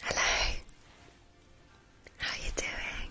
Hello, how you doing?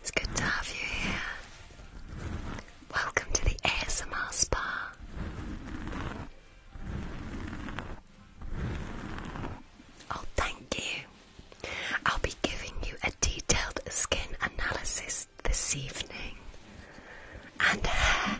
It's good to have you here. Welcome to the ASMR Spa. Oh, thank you. I'll be giving you a detailed skin analysis this evening. And hair. Uh,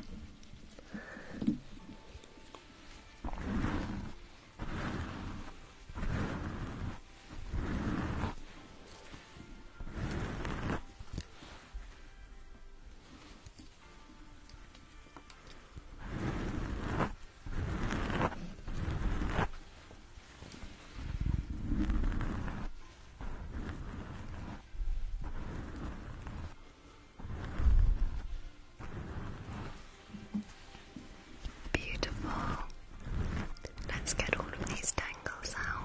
Beautiful. Let's get all of these tangles out.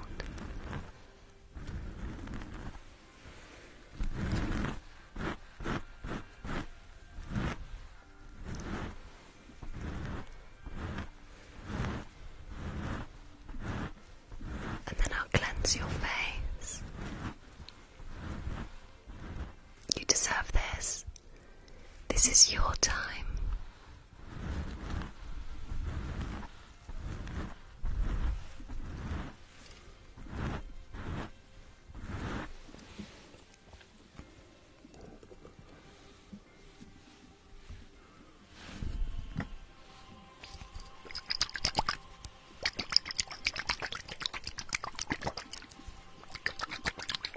And then I'll cleanse your face. You deserve this. This is your time.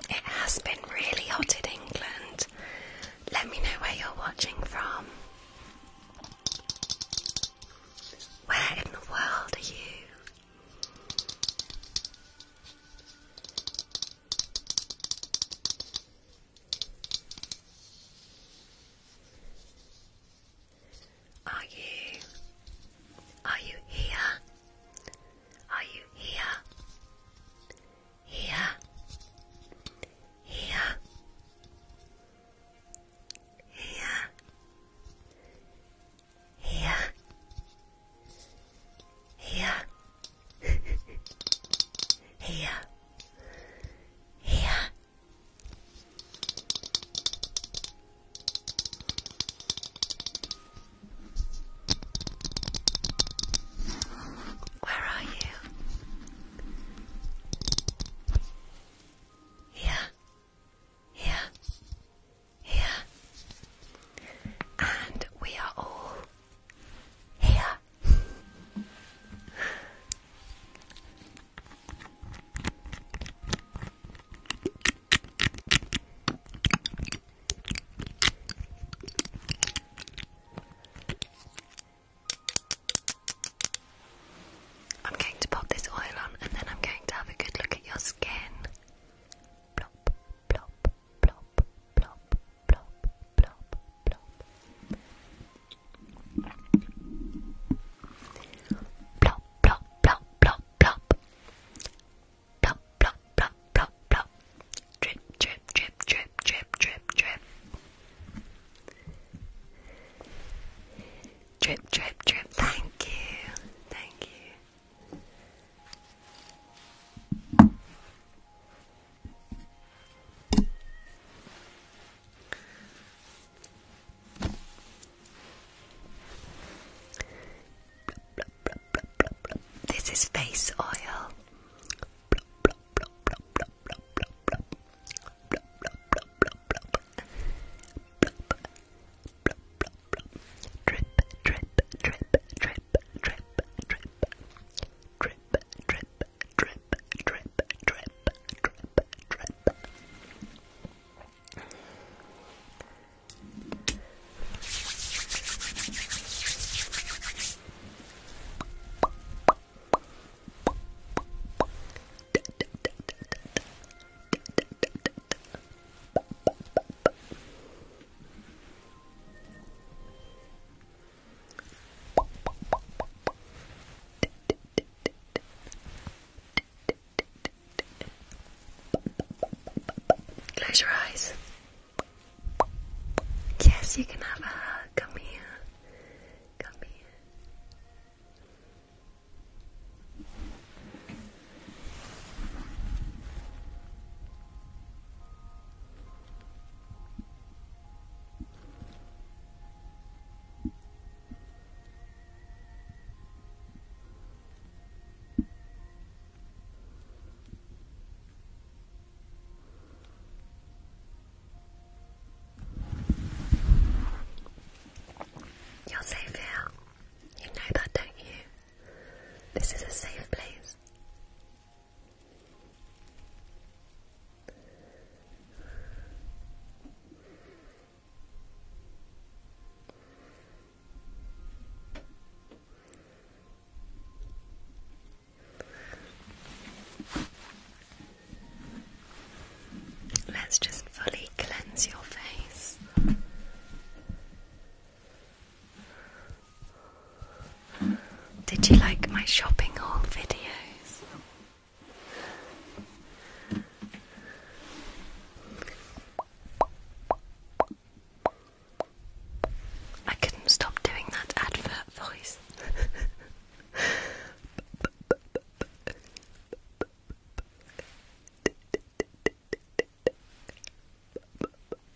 It has been really hot in England. Let me know where you're watching from. Where in the world are you? Are you? Are you here? Are you here? Here? Here? Here? Here? Here? Yeah, ya. Where are you? Here, here, here, and we are all Hey, I'm going to pop this oil on and then I'm going to have a good look at your skin. Plop, plop, plop, plop, plop, plop, plop. Plop, plop, plop, plop, plop. Plop, plop, Drip, drip, drip, drip, drip, drip, drip. Drip, drip, drip. Thank you. Thank you. This is face oil. Drip, drip, drip, drip, drip, drip, drip, drip, drip, drip, drip, drip, drip, drip. Close your eyes. Yes, you can have a hug. Come here. Come here. You're safe here. You know that, don't you? This is a safe place. Let's just fully cleanse your face. Did you like my shopping haul videos? I couldn't stop doing that advert voice.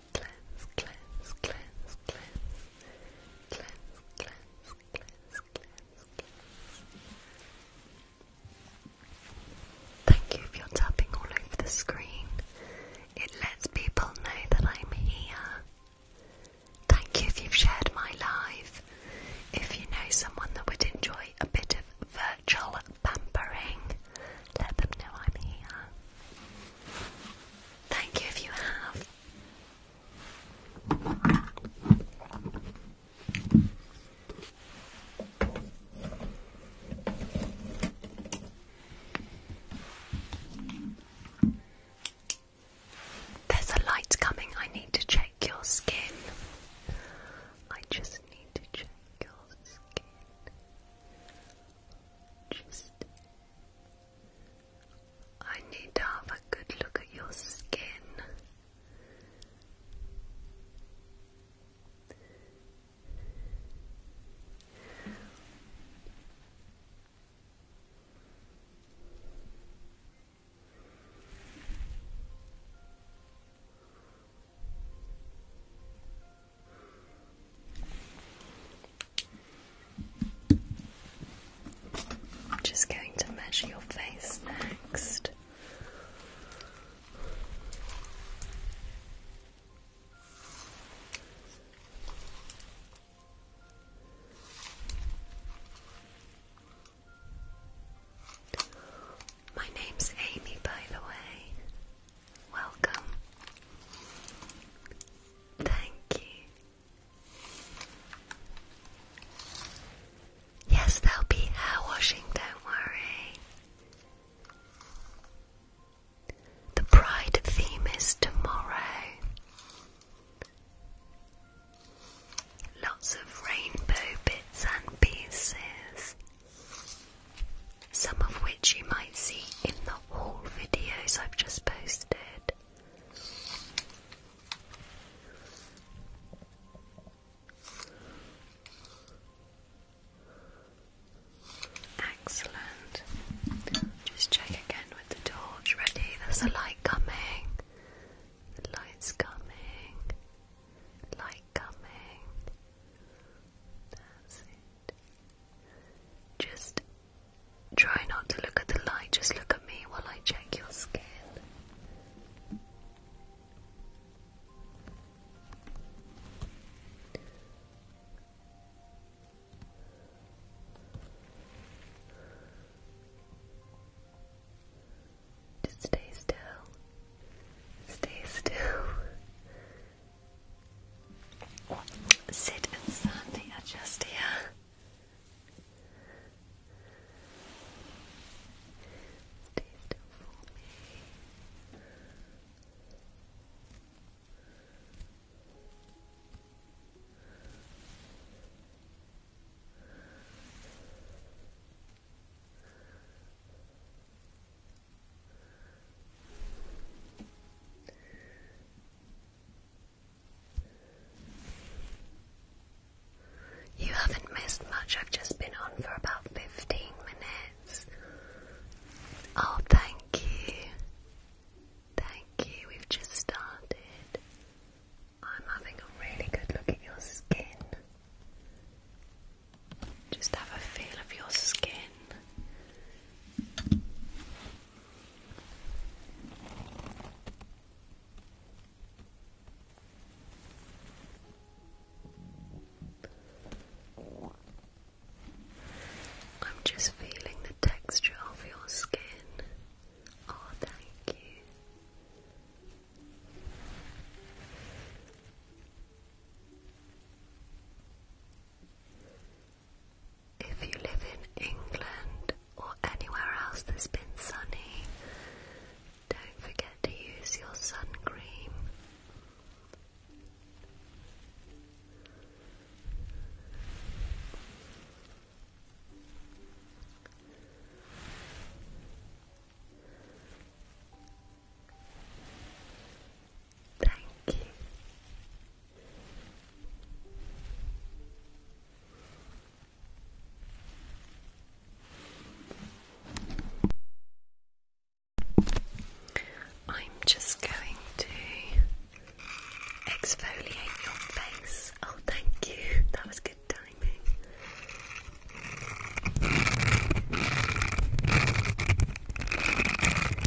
Thank you for you tapping all over the screen. It lets people know that I'm here. Thank you if you've shared my live. If you know someone that would enjoy a bit of virtual pampering, let them know I'm here. Thank you if you have. There's a light coming. I need to check your skin. I just need to check your skin. Just I need to have a good look at your skin. I'm just going to measure your face next. My name's Amy, by the way. Welcome. Thank you. Yes, there'll be hair washing, don't worry. The bride theme is tomorrow. Lots of rainbow bits and pieces some of which you might see in the haul videos I've just posted. Excellent. Just check again with the torch. Ready? There's a light coming. The light's coming. Light coming. That's it. Just Try not to look at the light, just look at me while I check your skin. Just stay still. Stay still. Sid and Sandy are just here. Stay still for me. You haven't missed much, I've just been on for about 15 minutes. Oh, thank you. Thank you, we've just started. I'm having a really good look at your skin. Just have a feel of your skin. I'm just feeling the texture of your skin. Oh, thank you. If you live in England or anywhere else that's been sunny, don't forget to use your sun cream. Thank you. I'm just going to exfoliate your face. Oh, thank you. That was good timing.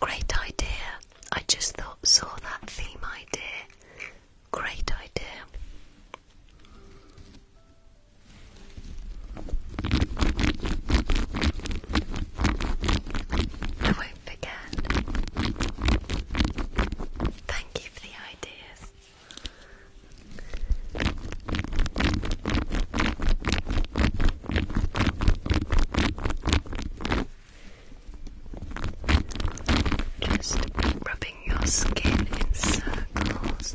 Great idea. I just thought saw that theme idea. Great idea. I won't forget. Thank you for the ideas. Just rubbing your skin in circles.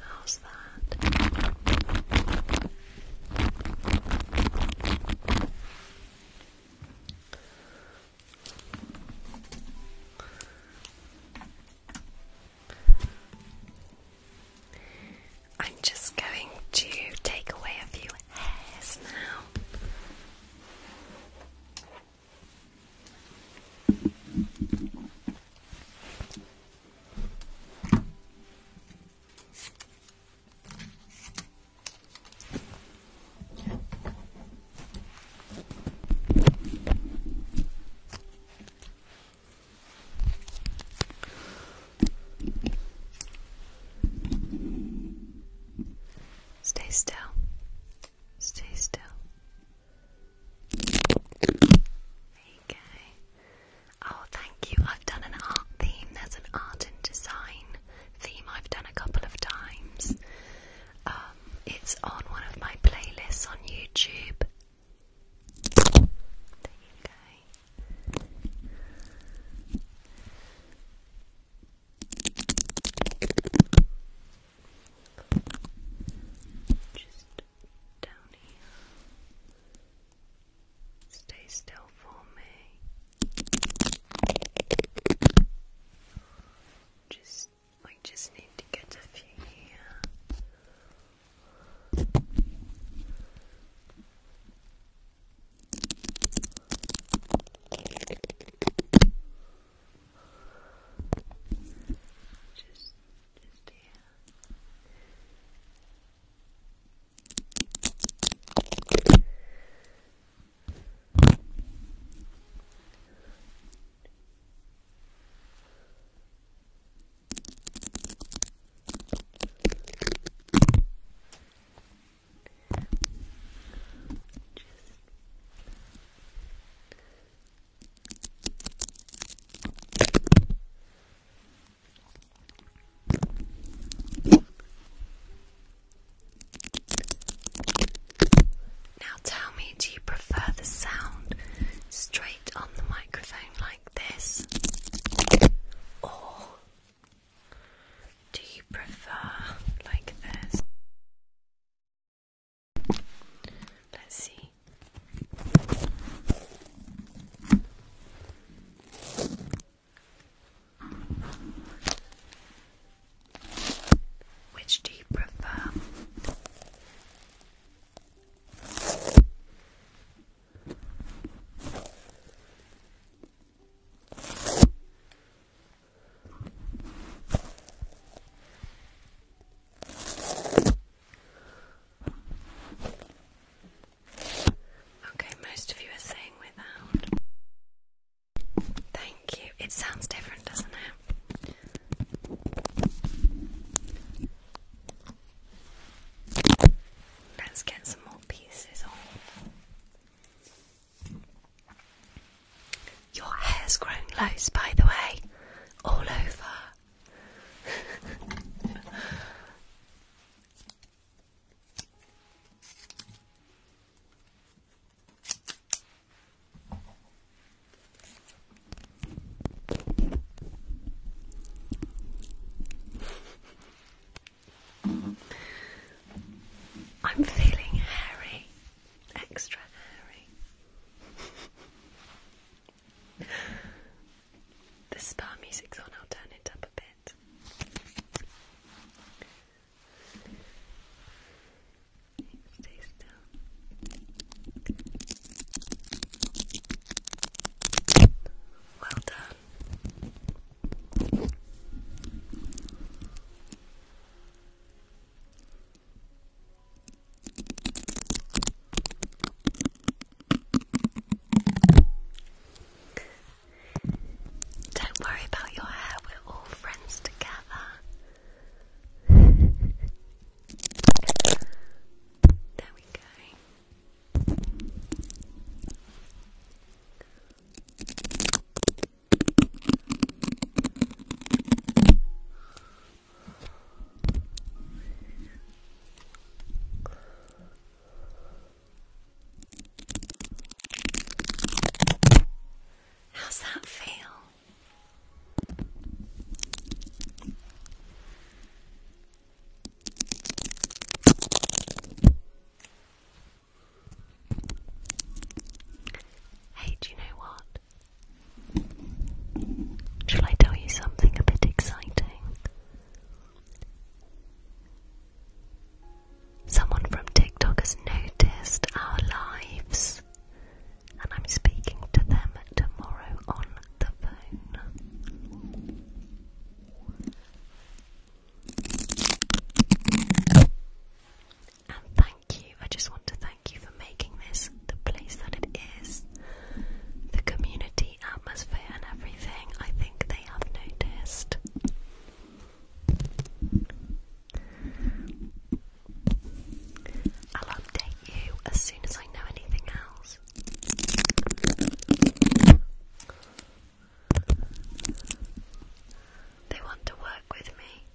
How's that? I'm just going to take away a few hairs now. Stay still. Stay still. There Oh, thank you. I've done an art theme. There's an art and design theme I've done a couple of times. Um, it's on one of my playlists on YouTube. There you go. Just down here. Stay still for me. Just, I just need to get a few here. Just, just here. Just now tell me, do you prefer the sound straight on the microphone like this? Or do you prefer like this? Let's see. Which do you prefer? Okay, most of you are saying without. Thank you. It sounds different, doesn't it? Let's get some more pieces off. Your hair's grown loose, by the way, all over. I'm feeling hairy extra hairy. the spa music's on, I'll turn it up a bit. Stay still. Well done. Don't worry about your hair, we're all friends together. there we go. How's that feel? Hey, do you know what? Shall I tell you something a bit exciting? Someone from TikTok has noticed our lives, and I'm speaking to them tomorrow on the phone. And thank you. I just want to thank you for making this the place that it is. The community atmosphere and everything, I think they have noticed. I'll update you as soon as I know anything else. They want to work with me.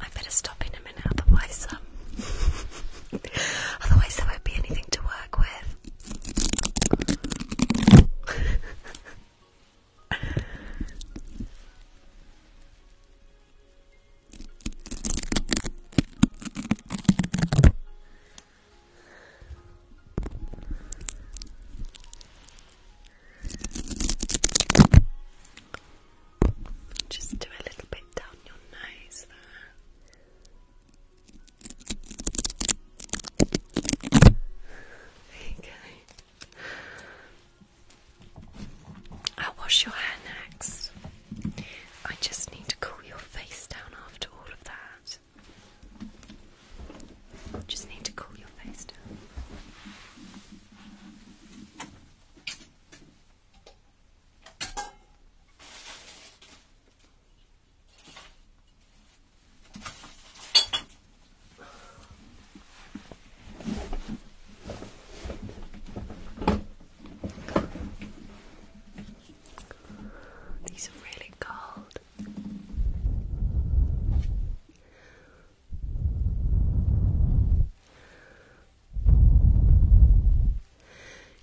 I better stop in a minute, otherwise, um, otherwise there won't be anything to work with. Just do a little bit down your nose there. There I'll wash your hair next. I just need to cool your face down after all of that. Just need to cool your face down. These are really cold.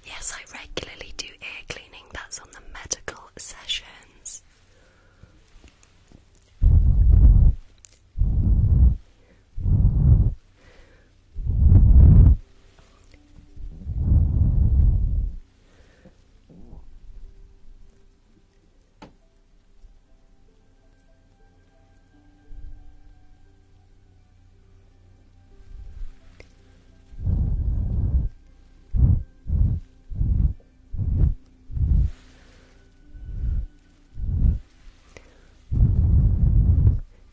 Yes, I regularly do ear cleaning, that's on the medical sessions.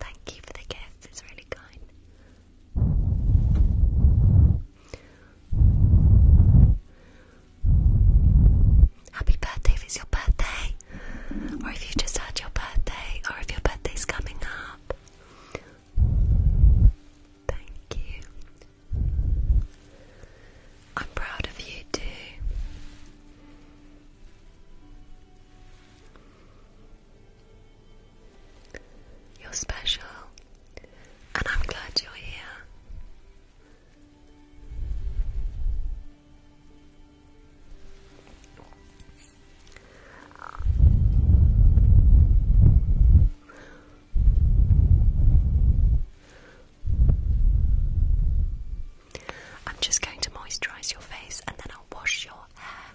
Thank you for the gift, it's really kind. Happy birthday if it's your birthday, or if you just had your birthday, or if your birthday's coming up. Thank you. I'm proud of you too. You're special, and I'm glad you're here. I'm just going to moisturize your face and then I'll wash your hair.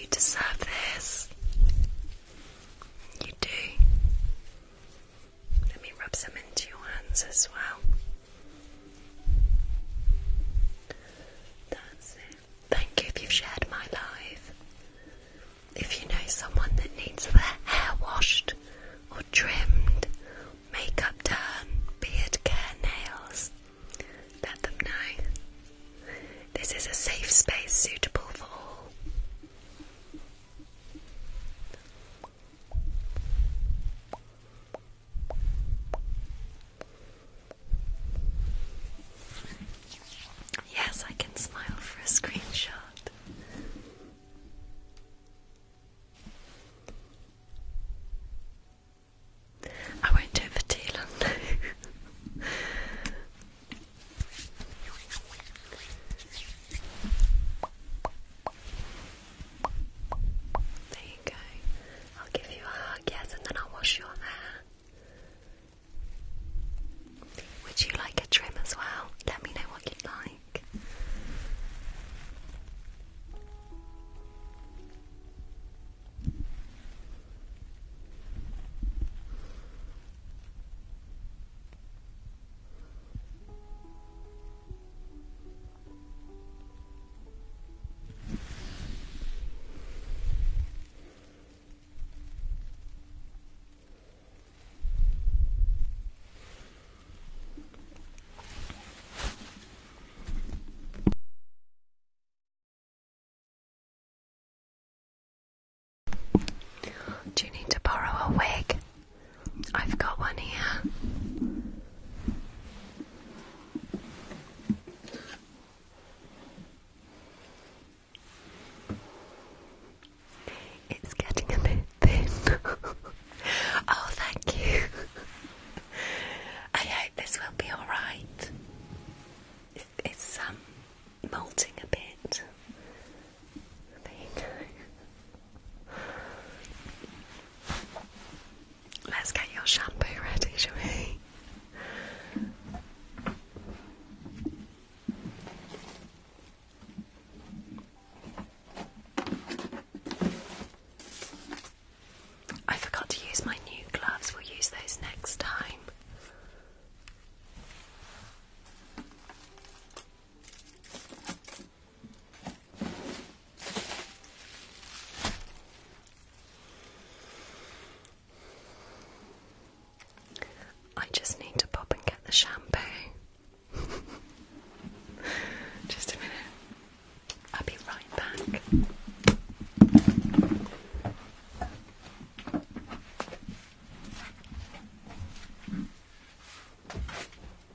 You deserve this. You do. Let me rub some into your hands as well. That's it. Thank you if you've shared my life. If you know someone that needs their hair washed or trimmed, makeup done, beard care, nails, let them know. This is a safe space suitable for all. Yes, I can smile for a screenshot. I won't do it for too long. There you go. I'll give you a hug, yes, and then I'll wash your hair. Would you like a trim as well? Let me know what you'd like. Do you need to borrow a wig? I've got one here. It's getting a bit thin. oh, thank you. I hope this will be alright. It's, um, molting a bit. Let's get your shampoo ready, shall I forgot to use my new gloves, we'll use those next time. I just need to pop and get the shampoo. just a minute. I'll be right back.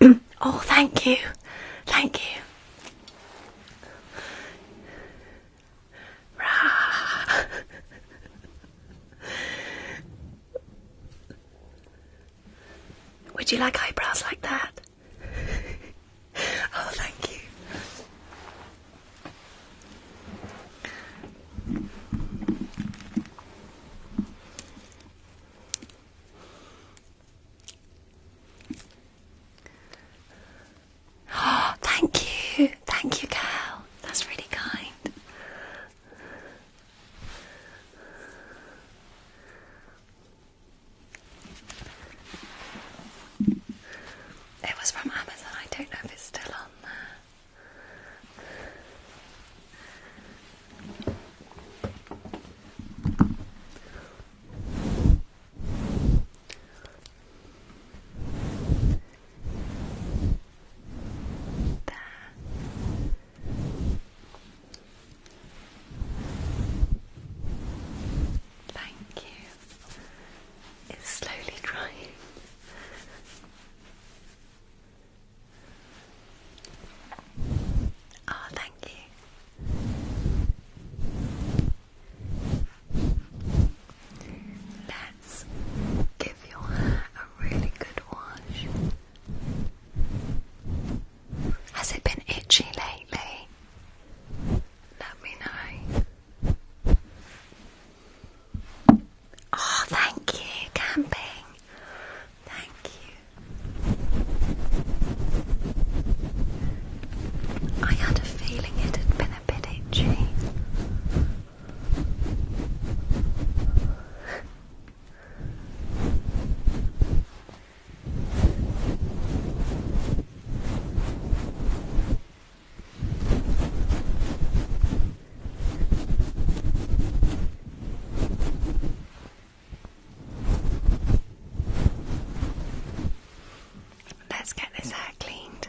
oh, thank you. Thank you. Would you like eyebrows like that? oh, thank you. Oh, thank you. Thank you, Cal. That's really kind. It was from Amazon. I don't know if it's still on there. There. Thank you. It's slowly drying. Oh, thank you. Let's give your hair a really good wash. Has it been itchy lately? Let me know. Oh, thank you, camping. Thank you. I had a feeling it had been a bit itchy. Let's get this hair cleaned.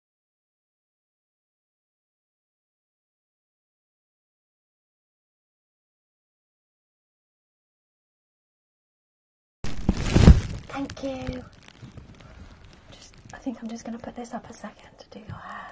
Thank you. Just, I think I'm just going to put this up a second to do your hair.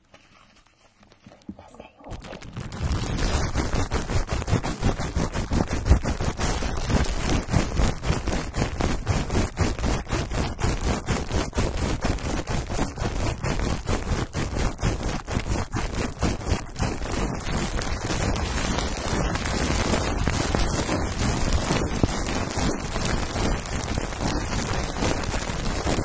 Let's get you walking. Let's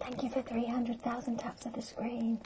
Thank you for 300,000 taps of the screen.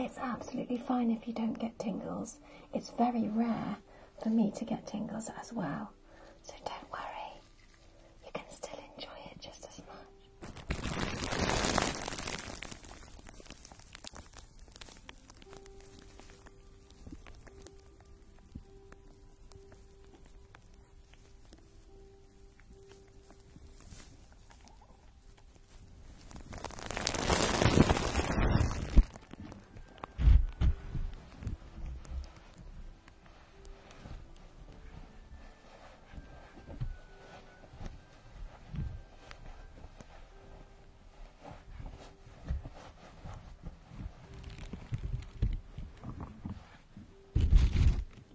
It's absolutely fine if you don't get tingles. It's very rare for me to get tingles as well. So don't worry you can still enjoy it just as much.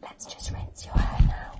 Let's just rinse your hair now.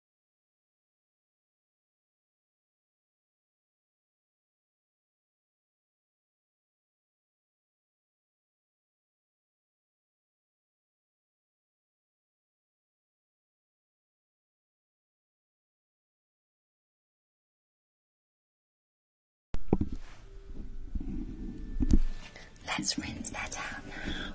Let's rinse that out now.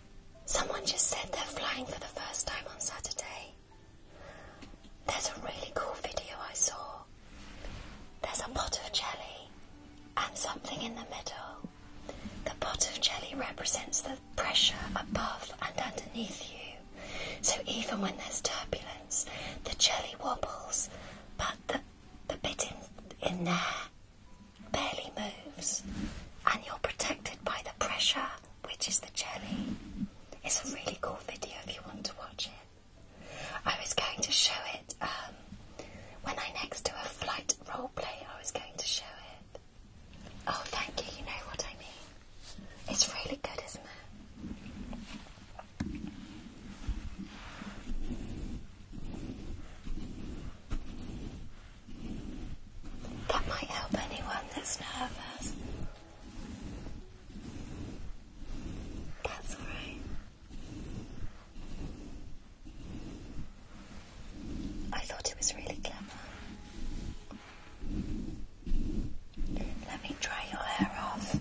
Someone just said they're flying for the first time on Saturday. There's a really cool video I saw. There's a pot of jelly and something in the middle. The pot of jelly represents the pressure above and underneath you. So even when there's turbulence, the jelly wobbles, but the, the bit in, in there barely moves, and you're protected by the pressure which is the jelly. It's a really cool video if you want to watch it. I was going to show it um, when I next do a flight role play. I was going to show it. Oh, thank you. You know what I mean. It's really good, isn't it? That might help anyone that's nervous. That's alright. I thought it was really clever. Let me dry your hair off.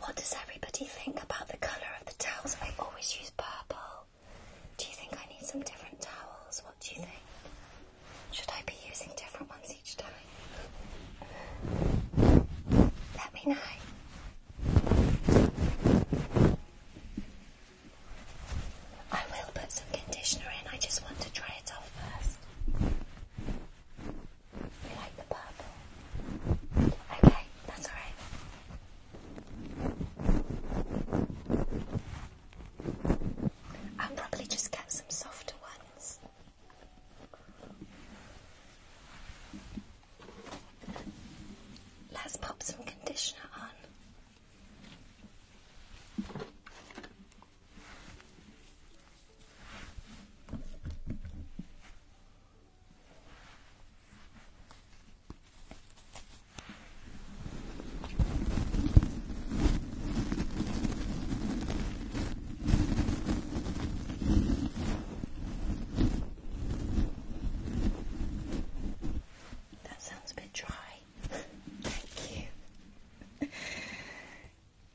What does everybody think about the colour of the towels? I always use purple. Do you think I need some different towels? What do you think? Should I be using different ones each time? Let me know. I will put some conditioner in, I just want to dry it off first. You like the purple? Okay, that's alright. I'll probably just get some softer ones. Let's pop some conditioner on. That sounds a bit dry. Thank you.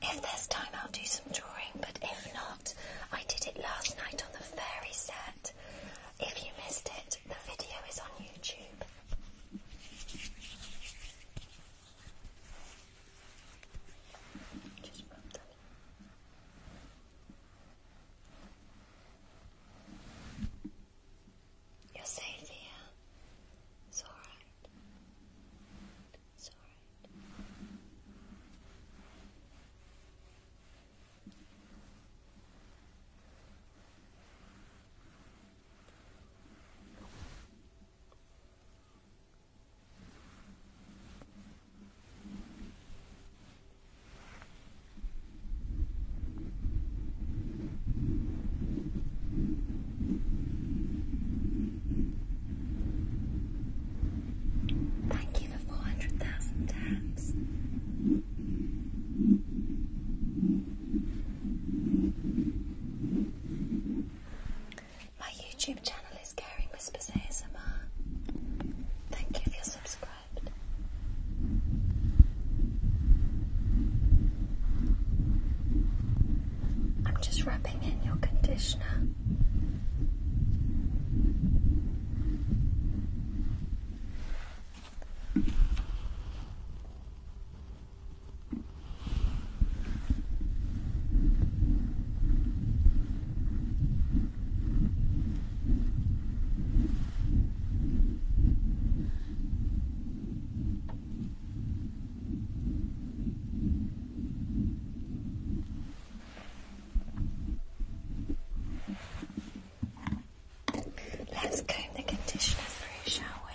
If there's time, I'll do some drawing, but if not, I did it last night on the fairy set. If you missed it, the video is on YouTube. You're safe here. It's alright. It's alright. Thank you for four hundred thousand taps. My YouTube channel is Caring Whispers ASMR. Thank you for your subscribe. I'm just wrapping in your conditioner. Let's comb the conditioner through, shall we?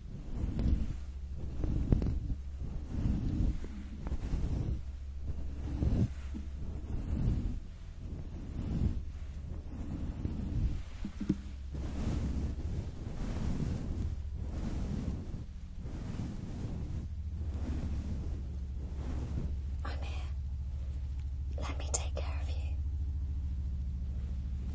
I'm oh, here. Let me take care of you.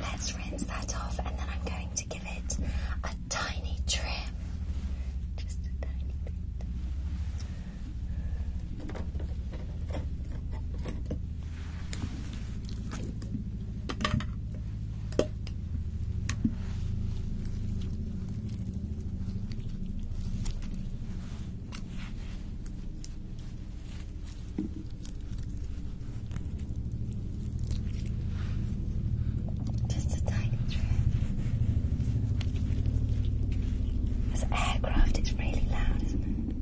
Let's rinse that off and then I'm going to give it a tiny trim. Just a tiny bit. Just a tiny trip. As aircraft, it's really loud, isn't it?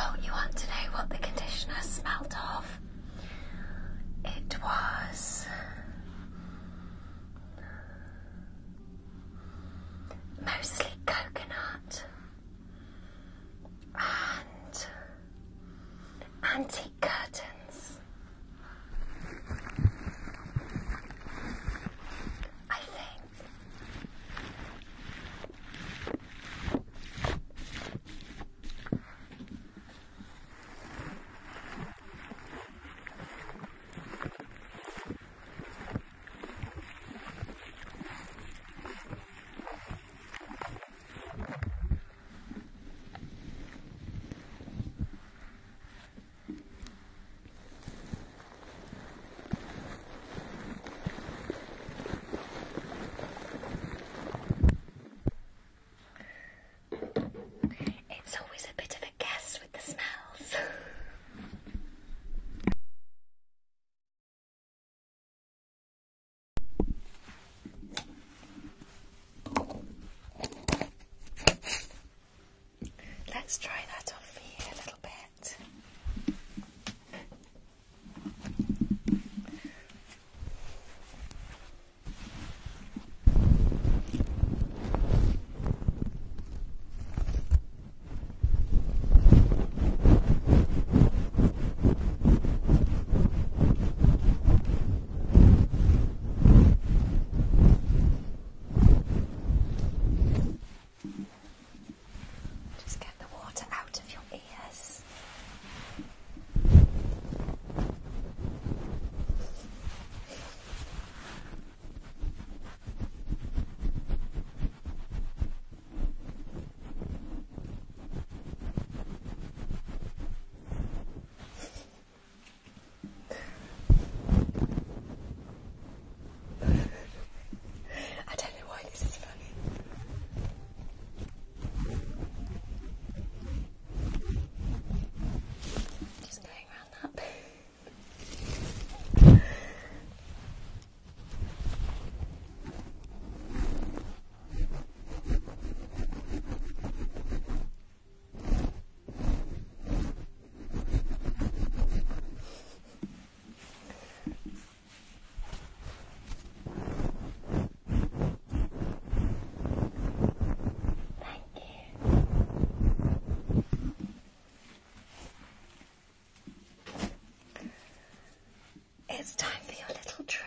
Oh, you want to know what the conditioner smelled of? It was mostly coconut and antique curtains. I think. It's always a bit of a guess with the smells. Let's try that off for a little bit. Just get the water out of your ears. I don't know why this is funny. Just going around that. It's time for your little trim.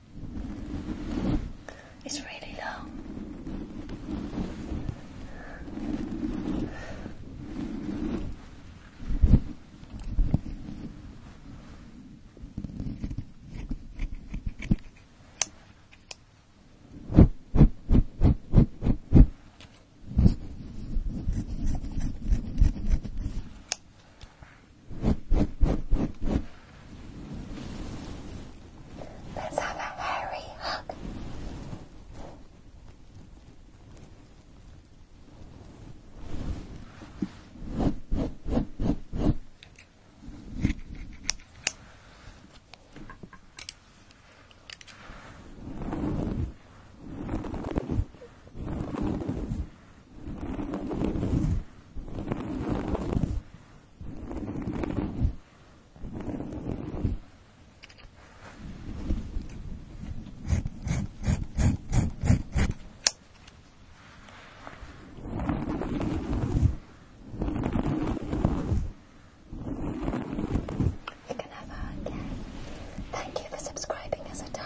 It's really low. Let's have a hairy hug. You can have a hug, Thank you for subscribing as a dino.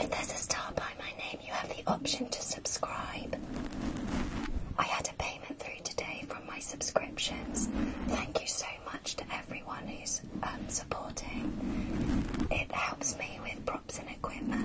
If there's a star by my name, you have the option to subscribe. I had a payment through today from my subscriptions. Thank you so much to everyone who's um, supporting. It helps me with props and equipment.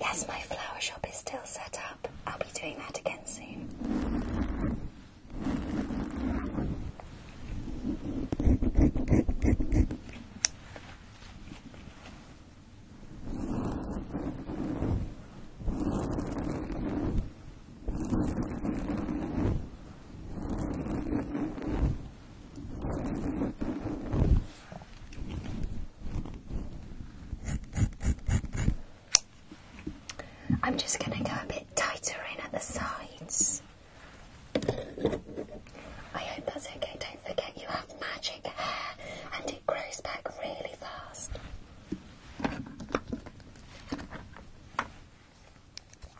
Yes, my flower shop is still set up. I'll be doing that again soon. I'm just going to go a bit tighter in at the sides. I hope that's okay. Don't forget you have magic hair and it grows back really fast.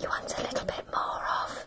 You want a little bit more of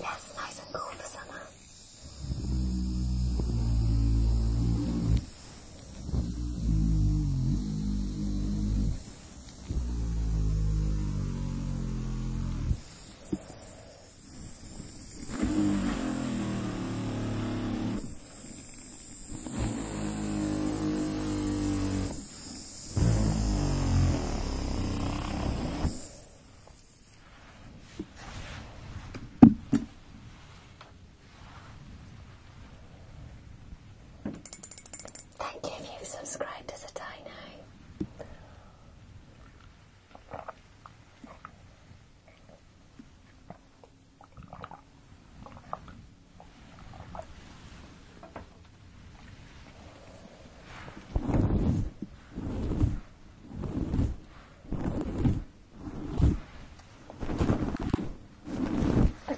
Yeah, it's nice and cool for summer. Thank you if you've subscribed as a dino. The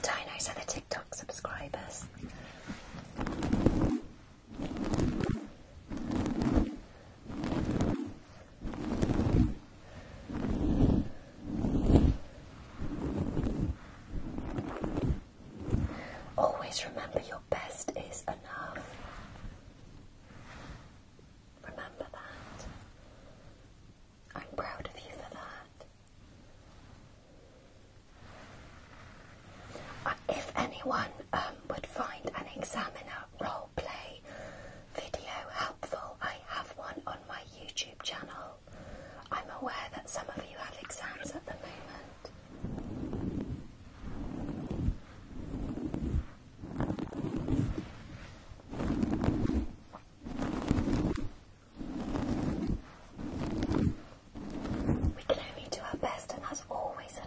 dinos are the TikTok subscribers. Always remember your best is enough. Remember that. I'm proud of you for that. Uh, if anyone um, would find an examiner role play video helpful, I have one on my YouTube channel. I'm aware that some of you have exams at the moment. We can only do our best, and that's always enough.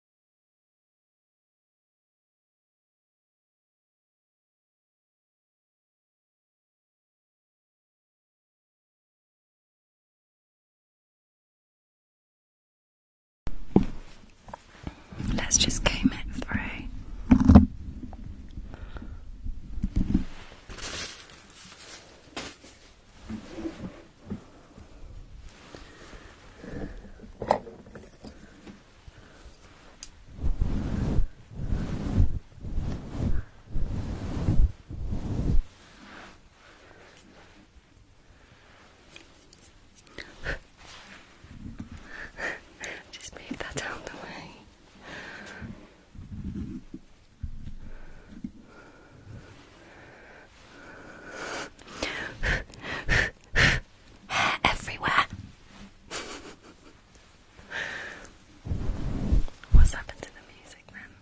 Let's just comb it through. Just move that out the way. everywhere. What's happened to the music then?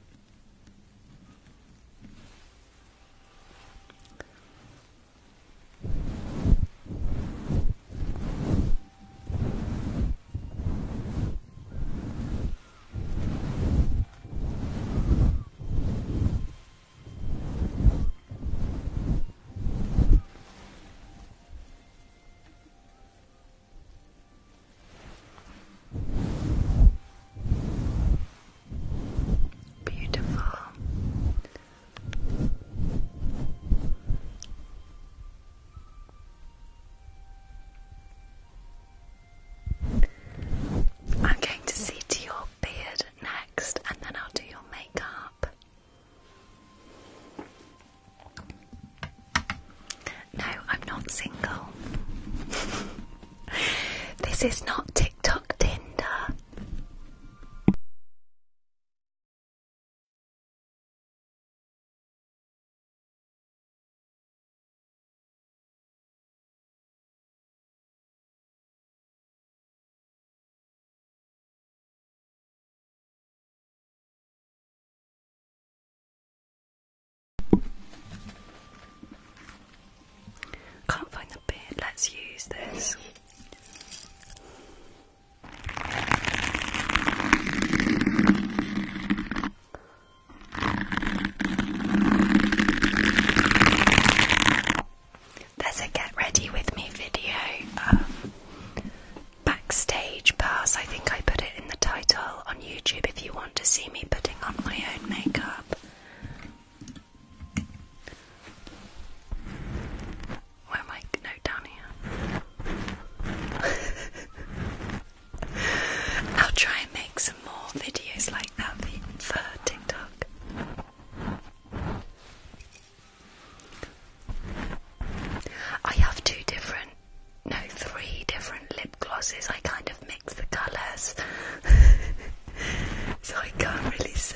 Beautiful. I'm going to see to your beard next, and then I'll do your makeup. No, I'm not single. this is not TikTok Tinder. Can't find the bit, let's use this. There's a get ready with me video, um, backstage pass. I think I put it in the title on YouTube if you want to see me putting on my own makeup. Where am I? No, down here. I'll try and make some more videos like that for TikTok. I have two different, no, three different lip glosses. I kind of mix the colours, so I can't really say.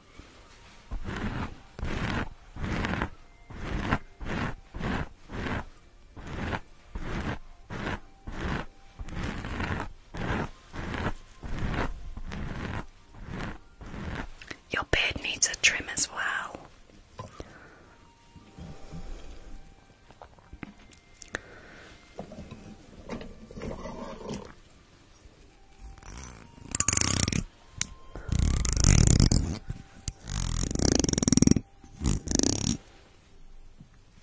Your beard needs a trim as well. And then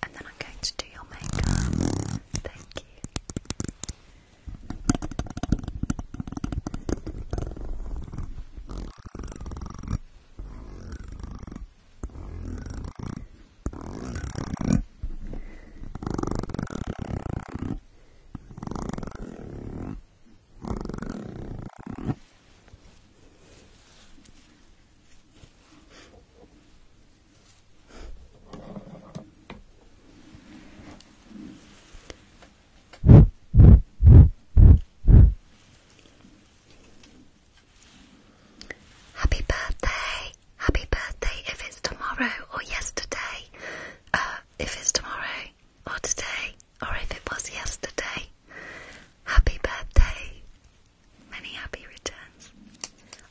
I'm going to do your makeup. Thank you. Happy birthday! Happy birthday if it's tomorrow or yesterday. Um, if it's tomorrow or today or if it was yesterday. Happy birthday. Many happy returns.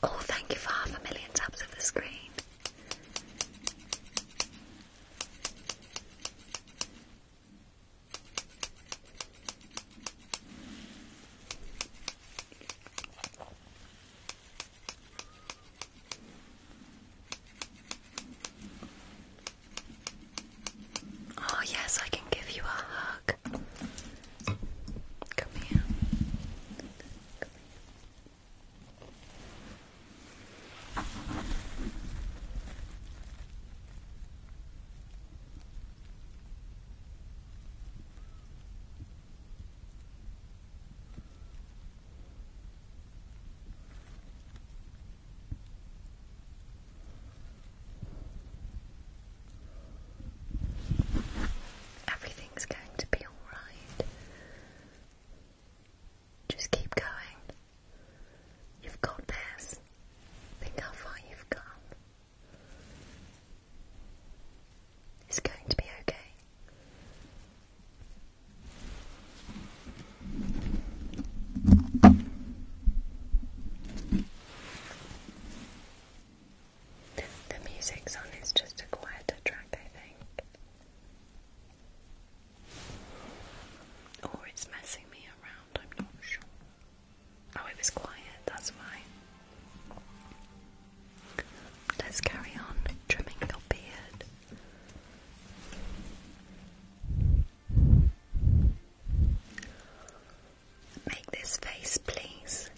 Oh, thank you for half a million taps of the screen. Oh, yes, I can give you a hug. Come here. Everything's going to be alright. Just keep going. You've got this. Think how far you've come. It's going to be okay. The music's on, it's just a quieter track, I think. Or it's messing me around, I'm not sure. Oh, it was quiet, that's why. Let's carry on trimming your beard. Make this face, please.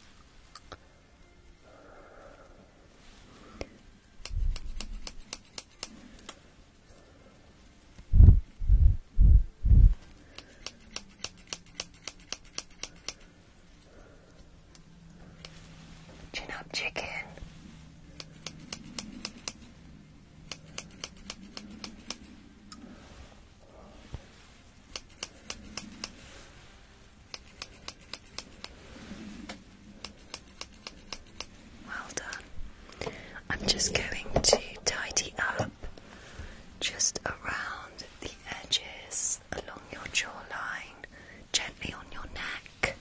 Chin up, chicken. Well done. I'm just going to tidy up just around the edges along your jawline, gently on your neck back.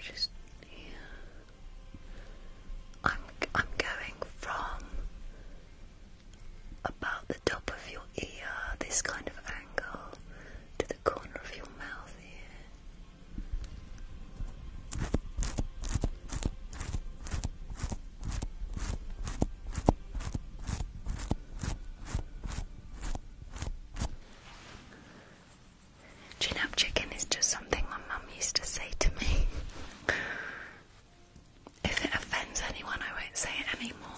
Just here. I'm I'm going from about the top of your ear, this kind of angle, to the corner of your mouth here. Chin up chicken is just something my mum used to say to me. If it offends anyone, I won't say it anymore.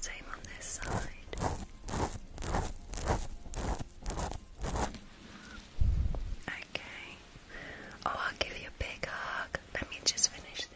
Same on this side. Okay. Oh, I'll give you a big hug. Let me just finish this.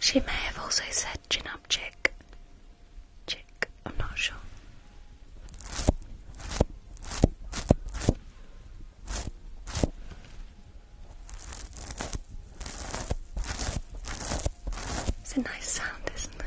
She may have also said chin up chick. Chick, I'm not sure. It's a nice sound, isn't it?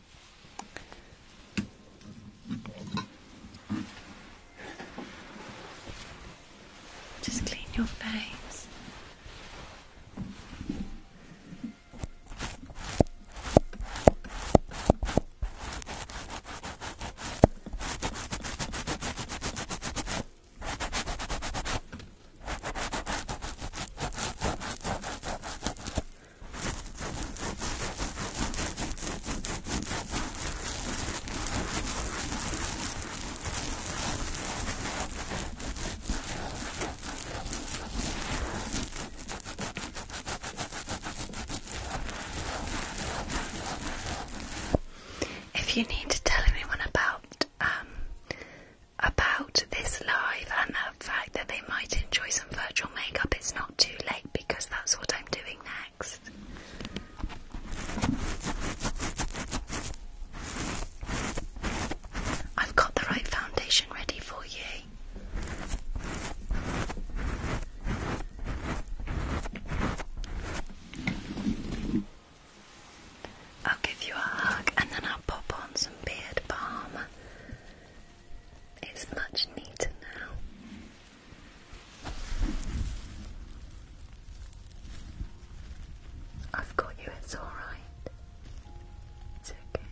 Just clean your face. If you need to tell anyone about um, about this live and the fact that they might enjoy some virtual makeup, it's not too late because that's what I'm doing next. I've got the right foundation ready for you. I'll give you a hug and then I'll pop on some beard balm it's much neater now. I've got you, it's alright. It's okay.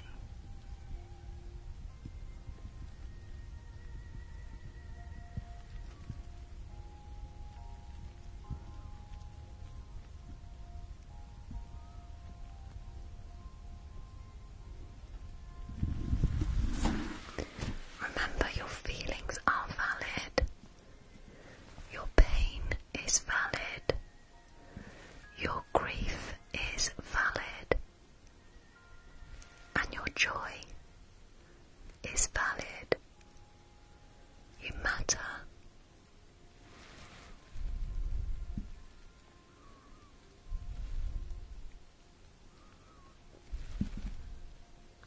Remember, your feelings are valid, your pain is valid, your grief is valid, and your joy is valid. You matter.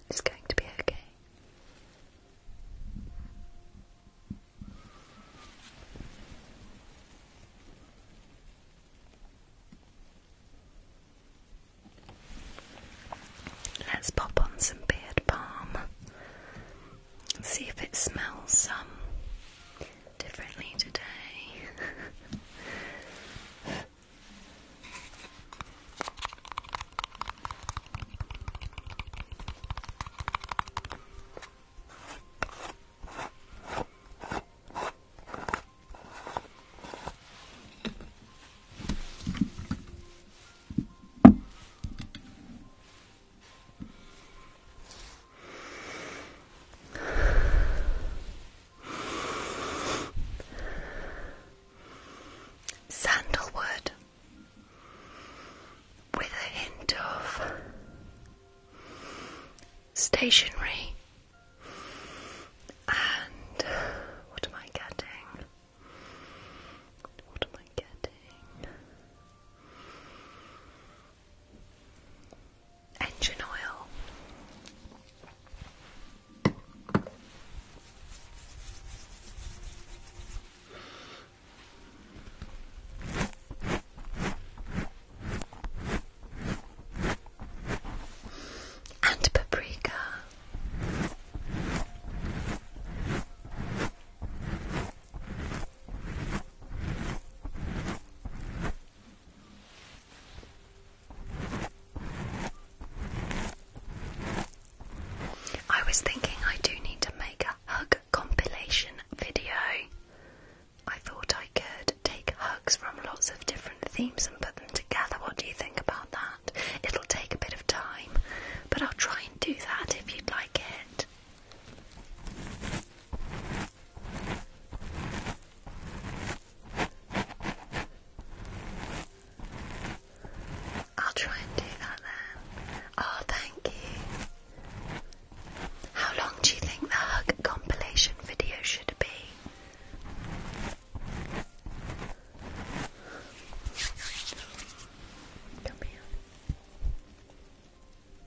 It's going to be okay. Let's pop on some beard balm see if it smells um, differently today. Sandalwood with a hint of stationery and what am I getting? What am I getting? engine oil. And paprika. I was thinking I do need to make a hug compilation video. I thought I could take hugs from lots of different themes and put them together. What do you think about that? It'll take a bit of time, but I'll try and do that if you'd like it. I'll try and do that then. Oh, thank you. How long do you think the hug compilation video should be? Come here.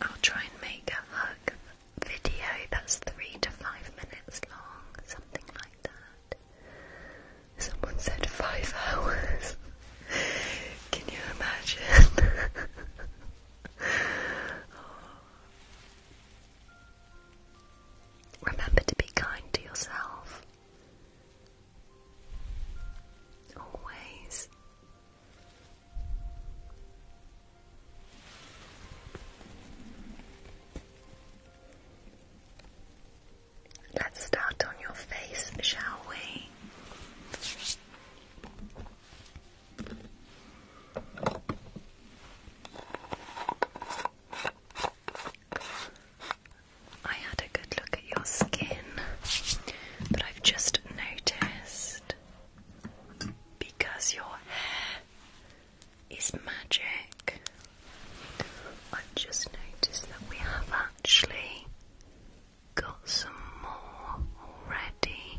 I'll try and make a hug video that's three to five minutes long, something like that. Someone said five hours. Can you imagine? Remember to be kind to yourself always. Let's start on your face, shall we? I had a good look at your skin, but I've just noticed because your hair is magic, I've just noticed that we have actually got some more already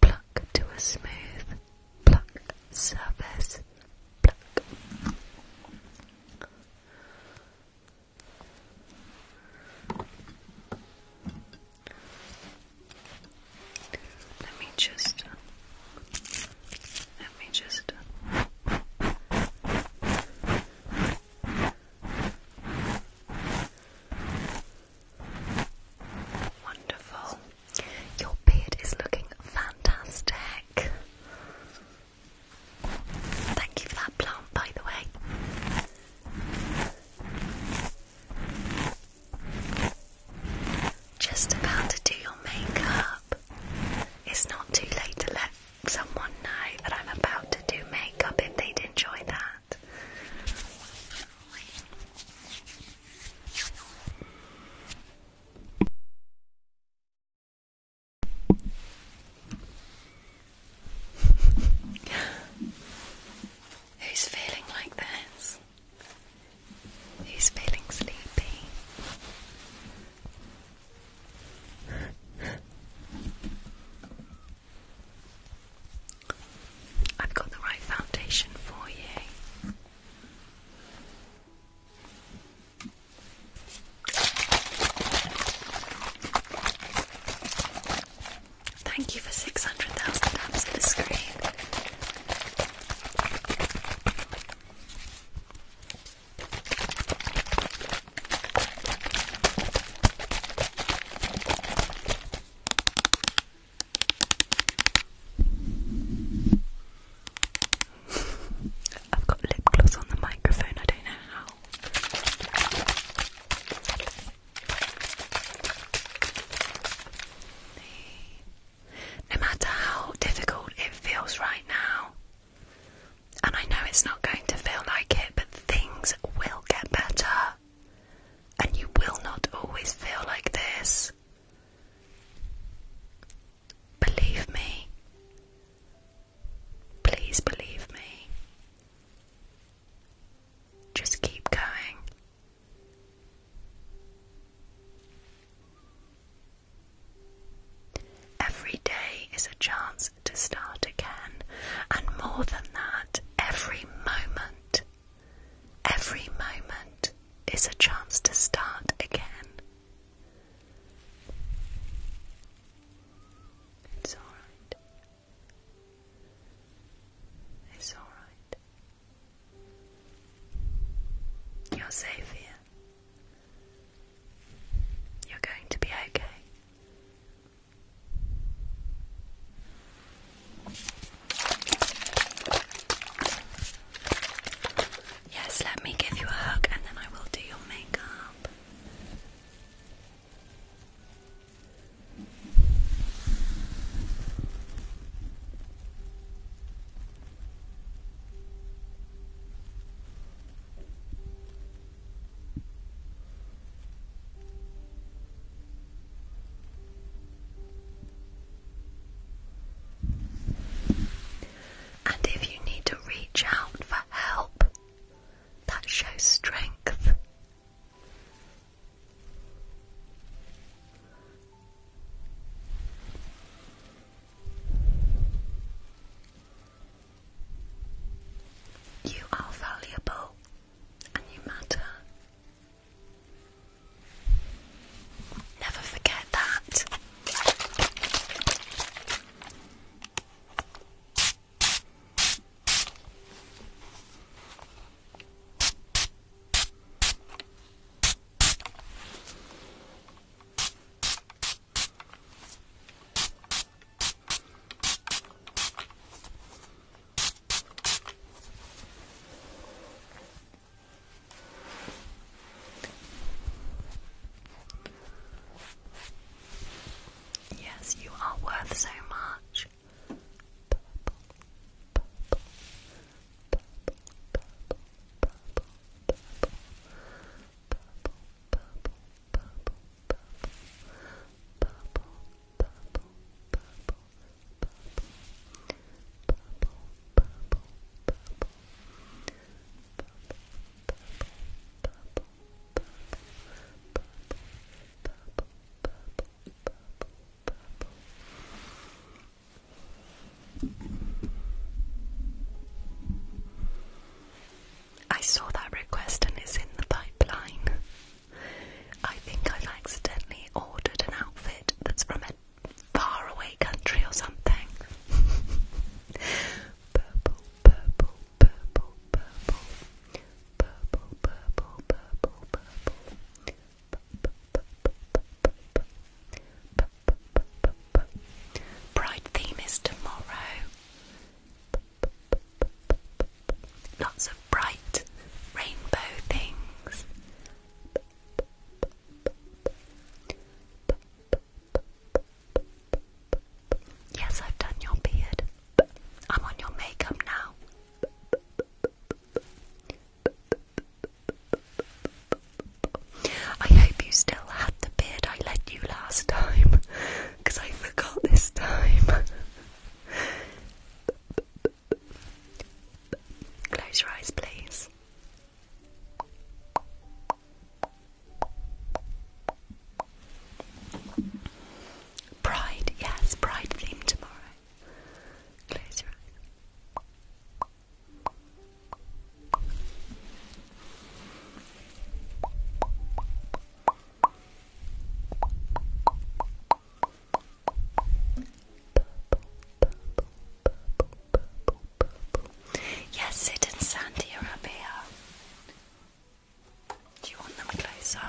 pluck to a smooth, pluck surface, Let me just, let me just. Wonderful. Your beard is looking fantastic. Thank you for that plant, by the way. Just about to do your makeup. It's not too late to let someone know that I'm about to do makeup if they'd enjoy that. Who's feeling like this? Who's feeling sleepy? I've got the right foundation for you. Thank you for 600,000 taps of the screen. I've got lip gloss on the microphone, I don't know how. No matter how difficult it feels right now, and I know it's not going to feel like it, but things will get better and you will not always feel like this. Believe me. Please believe me. Just keep going. Every day is a chance to start again, and more than that, every moment Every moment is a chance to start again. It's alright. It's alright. You're safe here. You're going to be okay. Yes, let me give you a hug and then I will do your makeup. And if you need to reach out for help, that shows strength. You are valuable and you matter. Never forget that. Yes, you are worth so much. I saw that request and it's in the pipeline. I think i accidentally ordered an outfit that's from faraway country or something. purple, purple, purple, purple. Purple, purple, purple, purple. Bright theme is tomorrow. Lots of bright rainbow things. Yes, I've done your beard. I'm on your makeup now. I hope you still had the beard I let you last time, because I forgot this time. Close your eyes, please. Pride, yes, Pride theme tomorrow. Close your eyes. Yes, it and Sandy are here. Do you want them closer?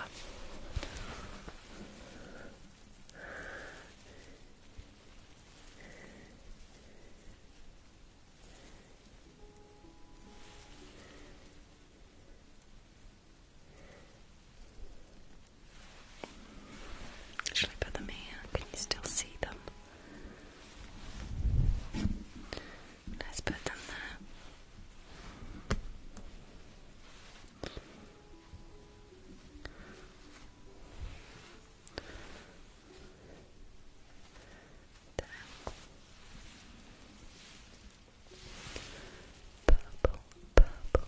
Should I put them here? Can you still see them? Let's put them There. Purple, purple,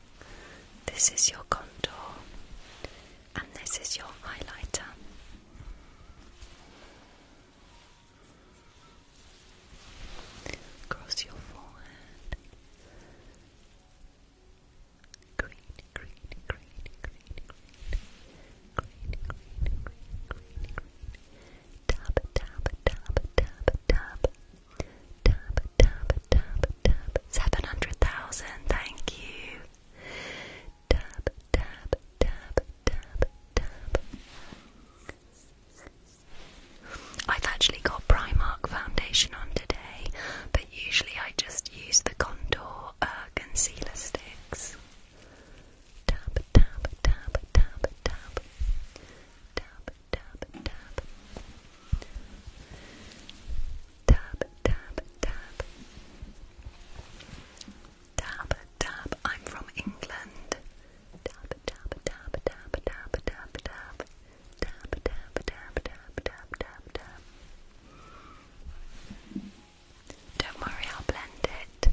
This is your contour, and this is your highlighter. Across your forehead. Green, green, green, green, green, green, green, green, green, green. Tap, tap, tap, tap, Tap, tap, tap, tap. 700,000, thank you. Tap, tap, tap, tap, tap. I've actually got Primark foundation on today, but usually I just use the contour uh, concealer sticks. Tap, tap, tap, tap, tap. Tap, tap, tap. Tap, tap, tap. Tap, tap. I'm from England. Tap, tap, tap, tap, tap, tap, tap. Tap, tap, tap, tap, tap, tap, Don't worry, I'll blend it.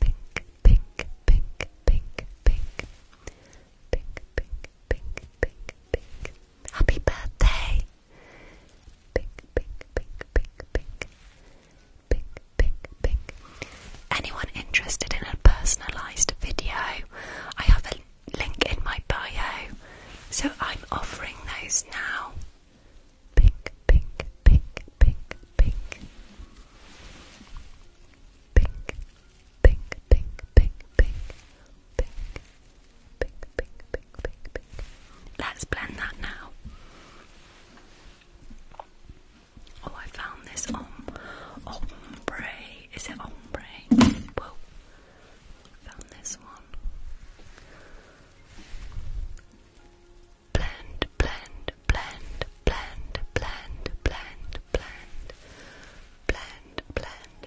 Pink, pink, pink, pink, pink. Pink, pink, pink, pink, pink. Happy birthday! Pink, pink, pink, pink, pink. Pink, pink, Anyone interested in a personalised video? I have a link in my bio, so I'm offering those now. Pink, pink, pink, pink, pink. Pink, pink, pink, pink, pink, pink, pink, pink, pink, pink, pink. Let's blend that now. Oh, I found this ombre. Is it ombre? Whoa. Found this one. Blend, blend, blend, blend, blend, blend, blend, blend, blend,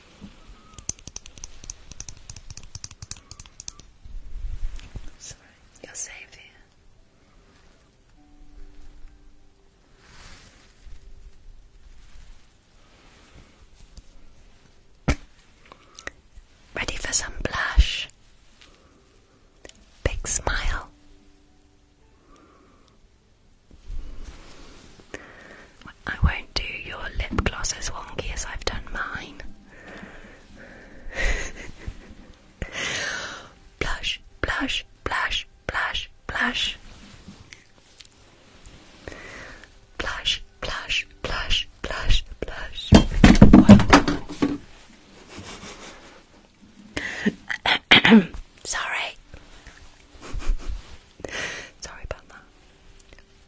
That's all right. Ready for some blush? Big smile. I won't do your lip gloss as wonky as I've done mine. blush, blush, blush, blush, blush. Blush, blush, blush, blush, blush. Sorry. Sorry about that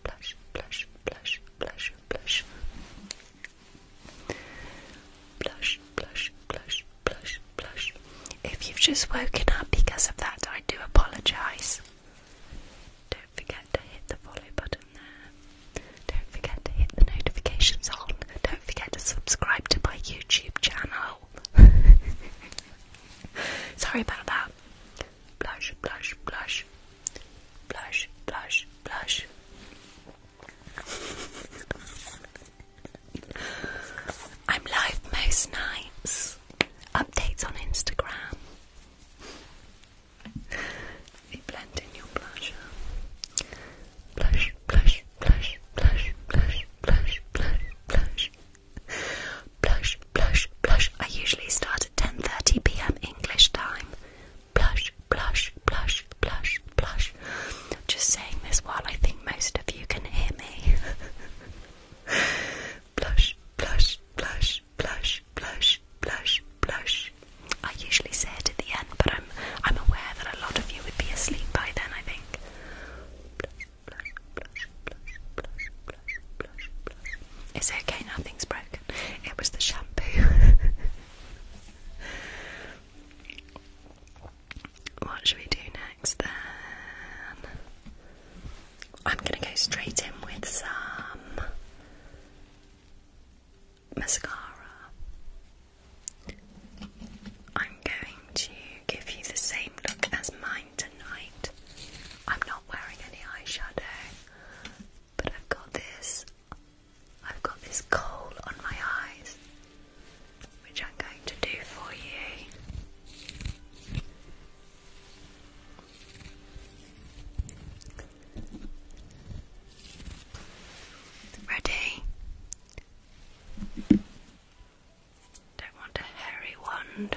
blush, blush, blush, blush, blush. Blush, blush, blush, blush, blush. If you've just woken up because of that, I do apologise. Don't forget to hit the follow button there. Don't forget to hit the notifications on. Don't forget to subscribe to my YouTube channel. Sorry about that blush, blush, blush, blush, blush, blush. I'm live most nights. Updates on Instagram. You blend in your blusher. Blush, blush, blush, blush, blush, blush, blush, blush. Blush, blush, blush. I usually start at 10:30 p.m. English time. Blush, blush, blush, blush, blush. Just saying this while I think most of you can hear me. blush, blush, blush, blush, blush, blush, blush. I usually say it at the end, but I'm I'm aware that a lot of you would be asleep by then, I think. It's okay, nothing's broken. It was the shampoo. what should we do next then? I'm gonna go straight in with some mascara. I'm going to give you the same look as mine tonight. I'm not wearing any eyeshadow. But I've got this, I've got this coal on my eyes, which I'm going to do for you. Ready? Don't want a hairy wand.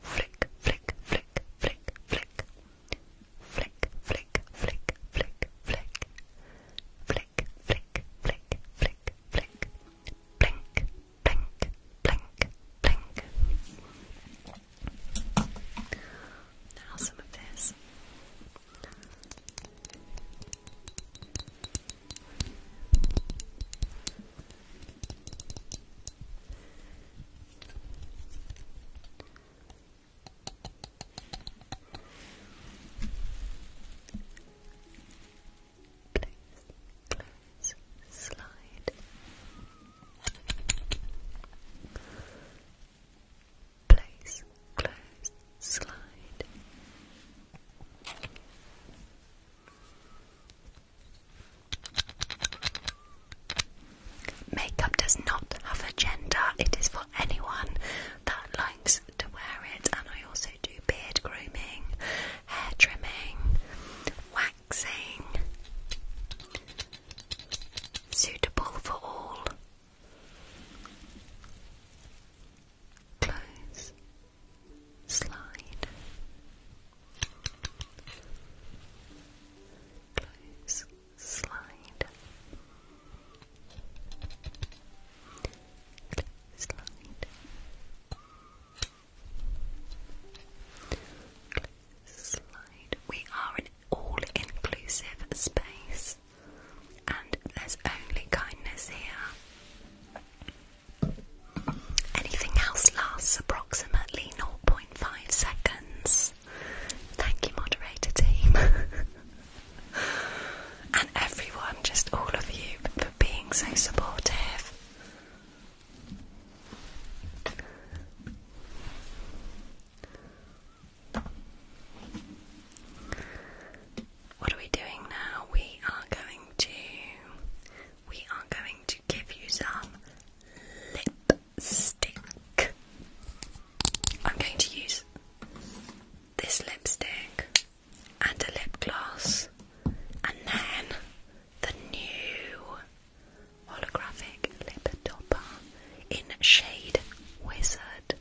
flick, flick, flick, flick, flick, flick, flick, flick, flick, flick, flick, flick, flick, flick, flick, blink, blink, blink, blink. Now some of this. Close, close, slide. Place, close, slide. Makeup does not have a gender, it is for anyone that likes to wear it. And I also do beard grooming, hair trimming, waxing. Suitable for all. Close. Slide. Close. Slide. Slide. Slide. We are an all-inclusive space, and there's only kindness here. Anything else lasts approximately 0.5 seconds. Thank you, moderator team. and everyone, just all of you, for being so supportive. What are we doing now? We are going to we are going to give you some lipstick. I'm going to use this lipstick and a lip gloss, and then the new holographic lip topper in shade Wizard.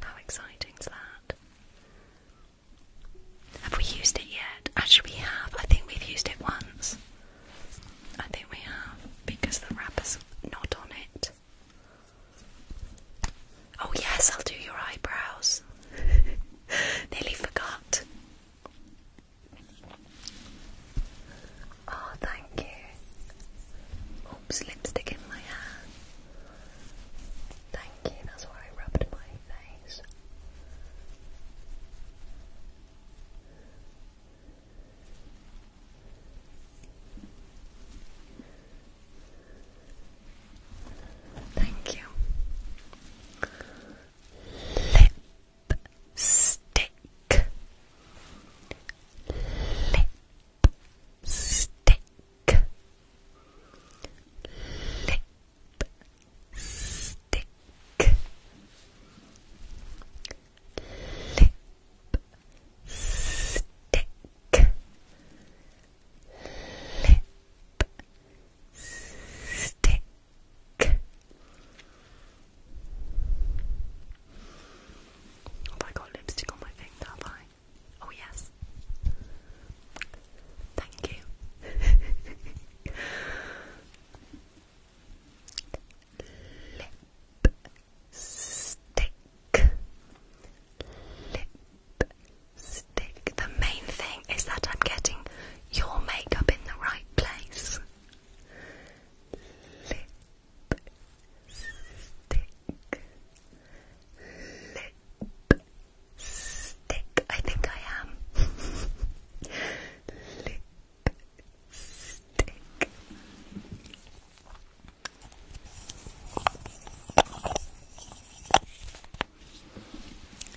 How exciting is that? Have we used it yet? Actually, we have. I think we've used it once. I think we have because the wrapper's not on it. Oh, yes, I'll do your eyebrows. Nearly forgot. Oh, thank you. Oops, lipstick in my hair. Thank you, that's why I rubbed my Thanks. Thank you. Lipstick. Lipstick. Lipstick stick lip stick lip stick have lipstick on my finger? Oh yes. Thank you. Lipstick. Lipstick. The main thing is that I'm getting your makeup in the right place. Lipstick. Lipstick. Stick, I think I am. Lick,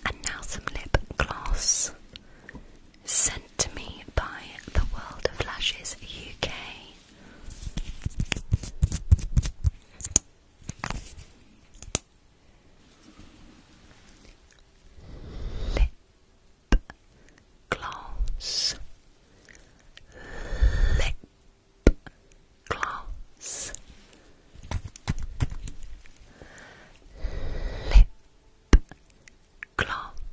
And now some lip gloss sent to me by the World of Lashes UK lip gloss, lip gloss, lip gloss.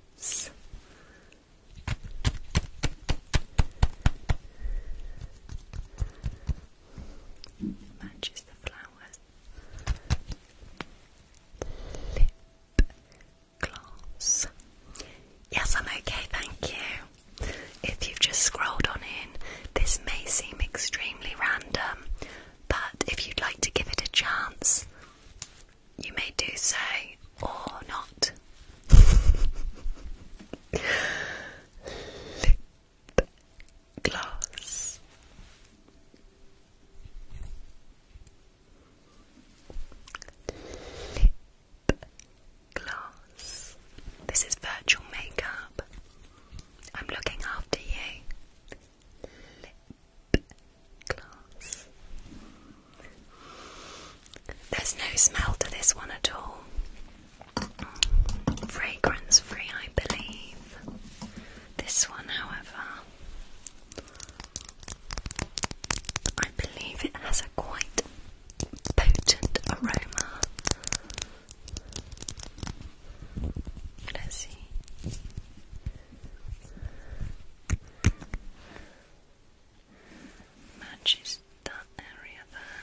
Matches the flowers lip gloss. Yes, I'm okay, thank you. If you've just scrolled on in, this may seem extremely random, but if you'd like to give it a chance, you may do so or not. glass. Lip glass. This is virtual makeup. I'm looking after you. Lip glass. There's no smell to this one at all. Fragrance free, I believe. This one, however, I believe it has a quite potent aroma. Let's see. Matches that area there.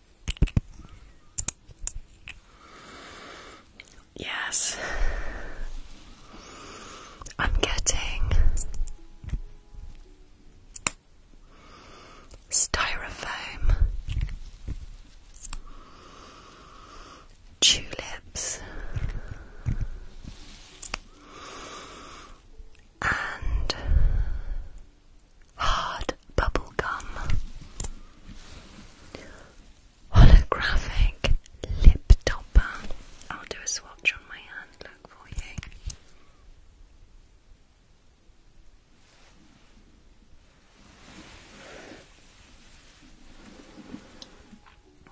Yes, I'm getting styrofoam, tulips, and hard bubble gum holographic lip topper. I'll do a swatch on my hand, look for you.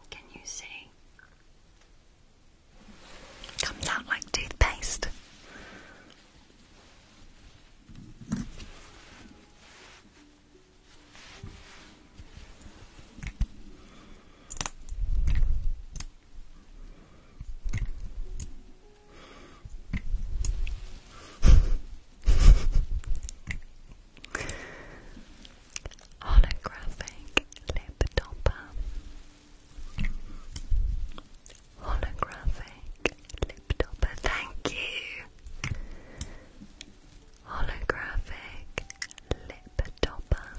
Can you see? Comes out like toothpaste. Holographic lip topper. Holographic lip topper. Thank you holographic lip topper.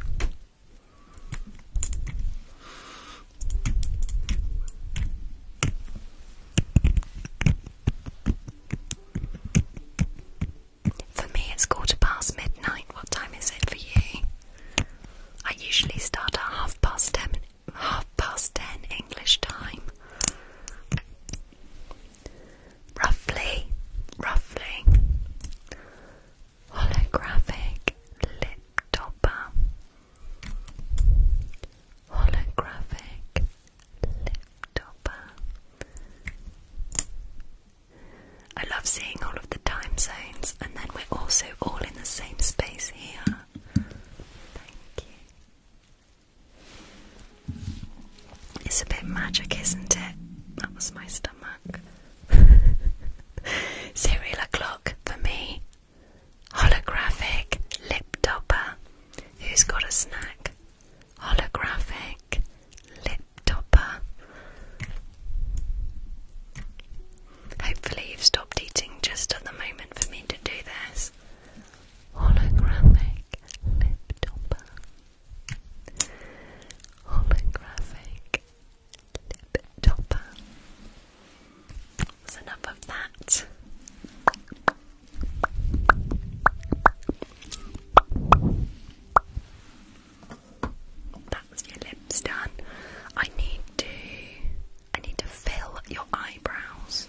For me, it's quarter past midnight. What time is it for you? I usually start at half past ten, half past ten English time. Roughly, roughly holographic lip topper, holographic lip topper. I love seeing all of the time zones, and then we're also all in the same space here. Thank you. It's a bit magic, isn't it? That was my stomach. Serial o'clock for me. Holographic lip topper. Who's got a snack? Holographic lip topper. Hopefully, you've stopped eating just at the moment for me to do this holographic lip topper, holographic lip topper. That's enough of that. That's your lips done. I need to. I need to fill your eyebrows.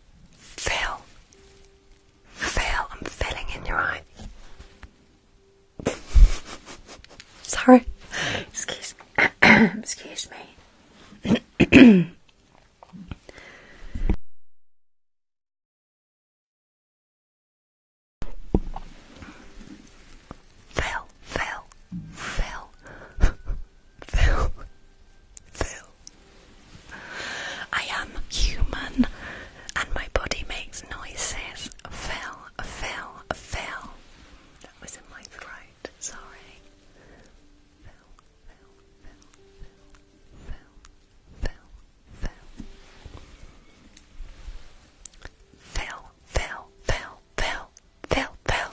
Phil. Phil, I'm filling in your eye. Sorry. Excuse me. Excuse me. Phil, Phil, Phil. Phil. Phil. I am human and my body makes noises. Phil, Phil, Phil. That was in my throat, sorry. Phil, Phil, Phil, Phil, Phil, Phil. Phil, Phil, Phil, Phil, Phil, Phil.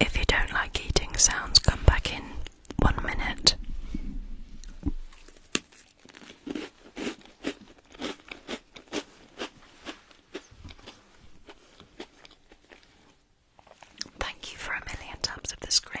If you don't like eating sounds, come back in one minute. Thank you for a million taps of the screen.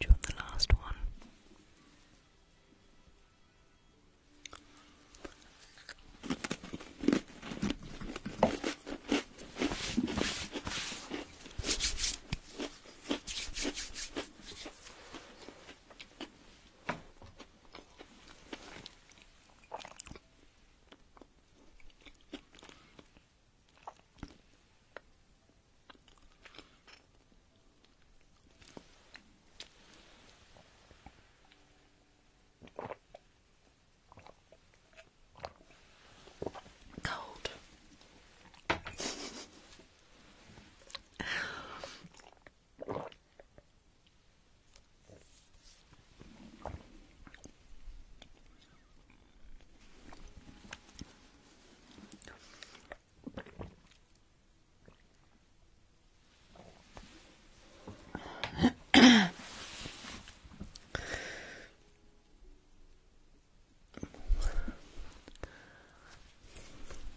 Do you want the last one? Cold.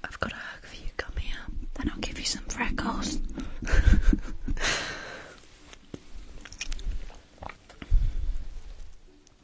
I've got a hug for you, come here, then I'll give you some freckles.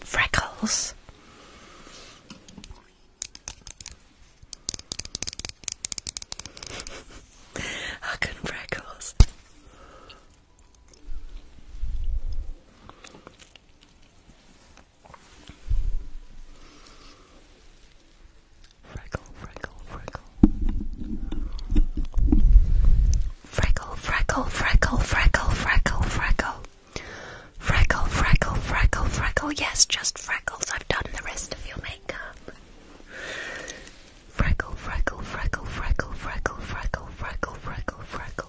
Freckles. How can freckles? Freckle, freckle, freckle. Freckle, freckle, freckle, freckle, freckle, freckle. Freckle, Yes, just freckles. I've done the rest of your makeup. Freckle, freckle, freckle, freckle, freckle, freckle, freckle, freckle, freckle.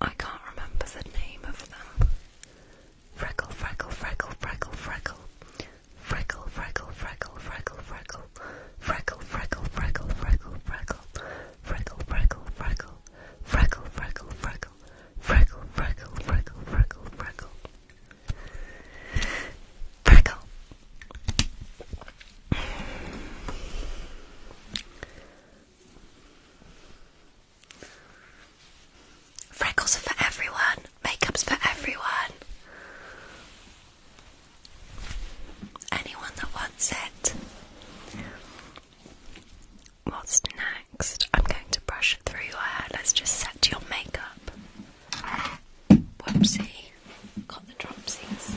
I can't remember the name of them. Freckle, freckle, freckle, freckle, freckle. Freckle, freckle, freckle, freckle, freckle. Freckle, freckle, freckle, freckle, freckle. Freckle, freckle, freckle. Freckle, freckle, freckle. Freckles are for everyone. Makeup's for everyone. Anyone that wants it. What's next? I'm going to brush it through your hair. Let's just set your makeup. Whoopsie. Got the dropsies.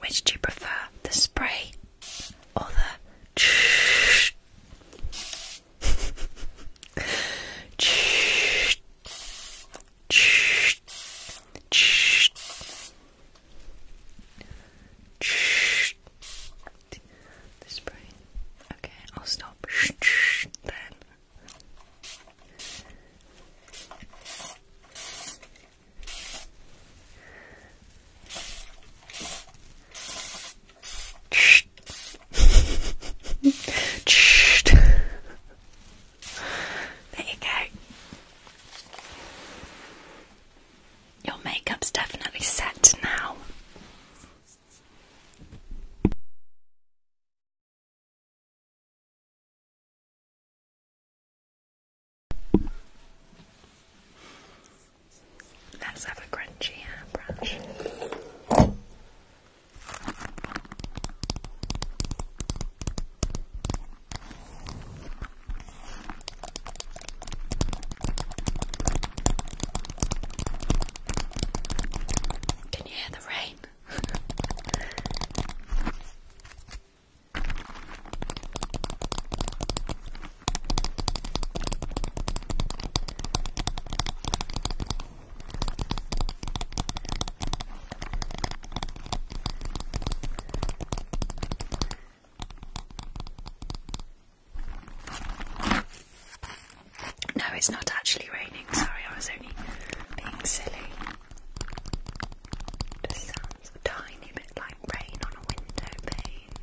Which do you prefer, the spray or the ch? ch, ch, ch, ch. The spray. Okay, I'll stop then. there you go. Your makeup's definitely set now. Let's have a crunchy hairbrush. Uh, Can you hear the rain? No, it's not actually raining. Sorry, I was only being silly. It's a tiny bit like rain on a window pane.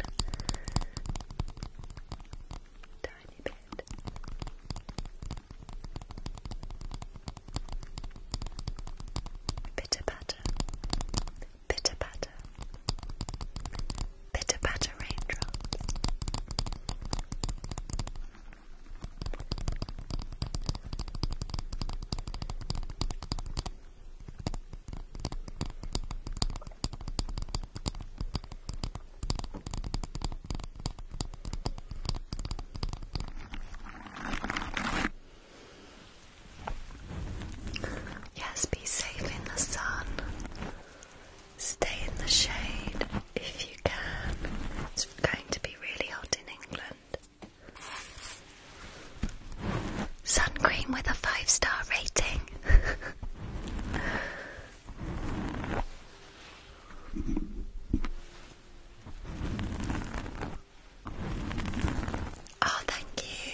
Tiny bit. Bitter patter. Bitter patter. Bitter patter raindrops. Yes, be safe in the sun. Stay in the shade if you can. It's going to be really hot in England. Sun with a five star rating. oh, thank you.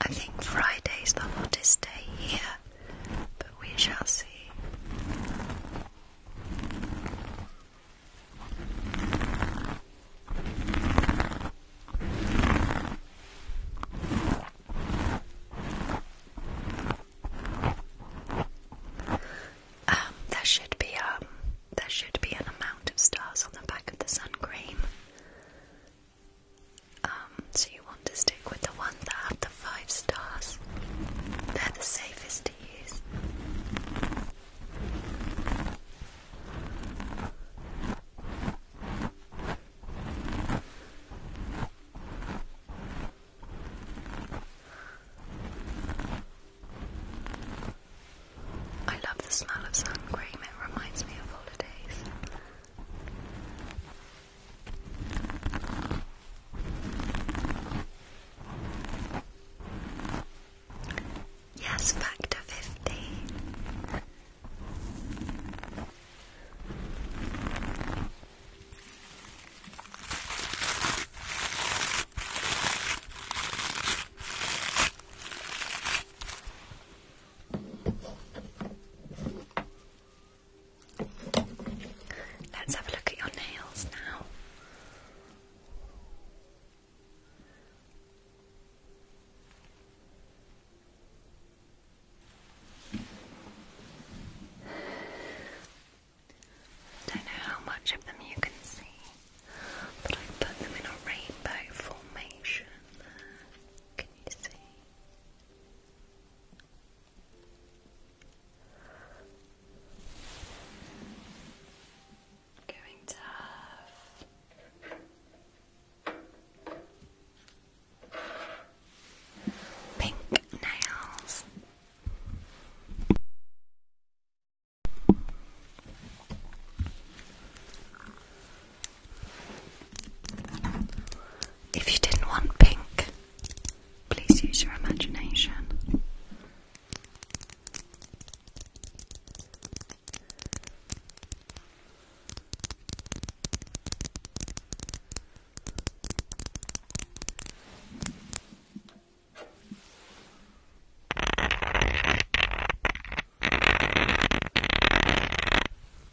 I think Friday's the hottest day here but we shall see. Um, there should be um, there should be an amount of stars on the back of the sun cream. Um, so you want to stick with the ones that have the five stars. They're the safest to use. I love the smell of sun it reminds me of holidays. Yes, back to fifty. Let's have a look at your nails now. don't know how much of them you can see, but i put them in a rainbow formation. Can you see? going to pink nails. If you didn't want pink, Please use your imagination.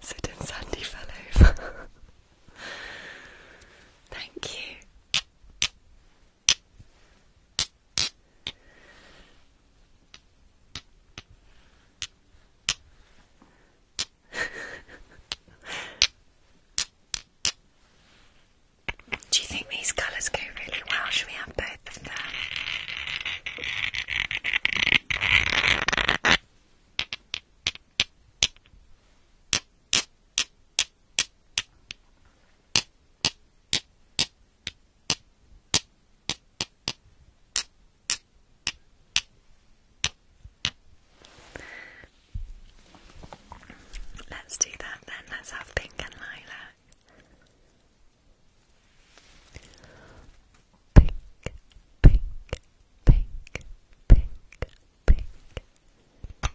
so then Sandy fell over. Thank you. Do you think these colours go really well? Should we have both of them? Let's do that then. Let's have pink and lilac. Pink, pink, pink, pink, pink. Pink,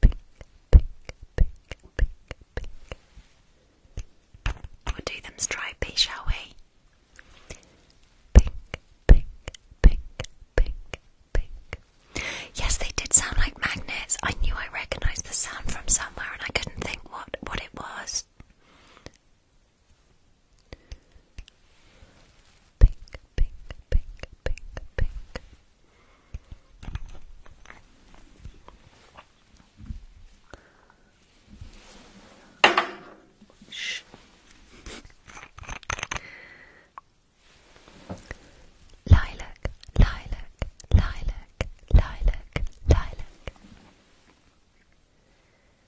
pink, pink, pink, We'll do them stripy, shall we? Pink, pink, pink, pink, pink. Yes, they did sound like magnets. I knew I recognised the sound from somewhere, and I couldn't think what what it was. Pink, pink, pink, pink, pink. Shh. Lilac, lilac, lilac, lilac, lilac.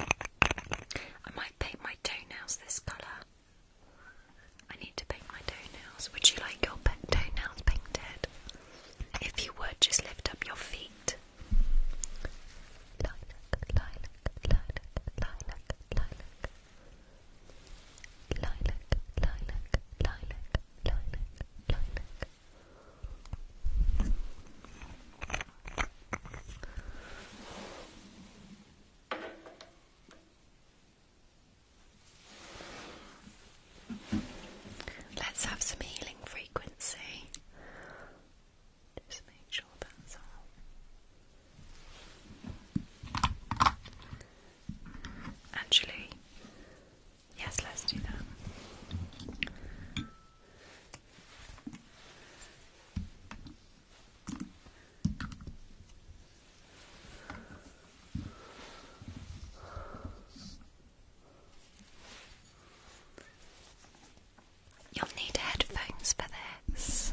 I might paint my toenails this colour. I need to paint my toenails. Would you like your toenails painted? If you would, just lift up your feet. Let's have some healing frequency. Just make sure that's all. Actually, Yes, let's do that. You'll need headphones for this.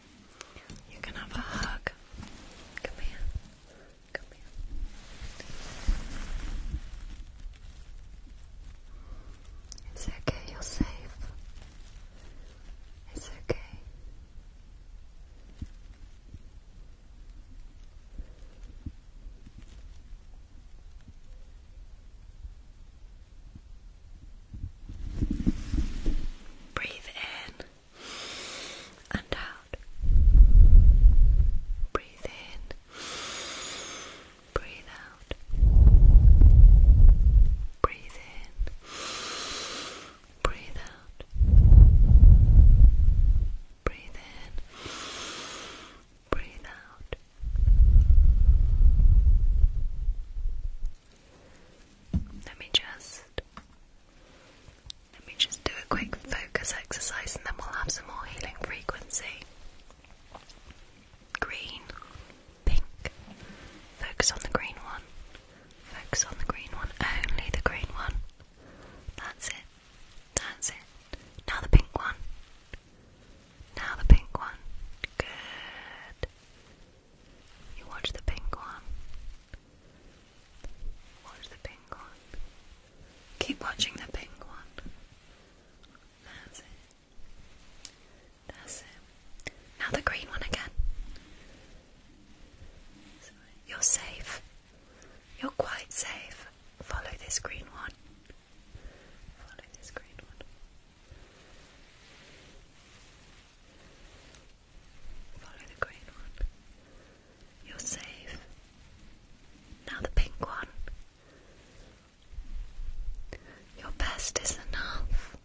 You can have a hug. Come here. Come here. It's okay, you're safe. It's okay. Breathe in and out. Breathe in, breathe out. Breathe in, breathe out. Breathe in, breathe out. Let me just let me just do a quick focus exercise and then we'll have some more healing frequency. Green, pink. Focus on the green one. Focus on the green one. Only the green one. That's it. That's it. Now the pink one. Now the pink one. Good. You watch the pink one. Watch the pink one. Keep watching the pink one. That's it. That's it. Now the green one again. You're safe. You're quite safe. Follow this green one. Follow this green one. Follow the green one. You're safe. Now the pink one. Your best is enough.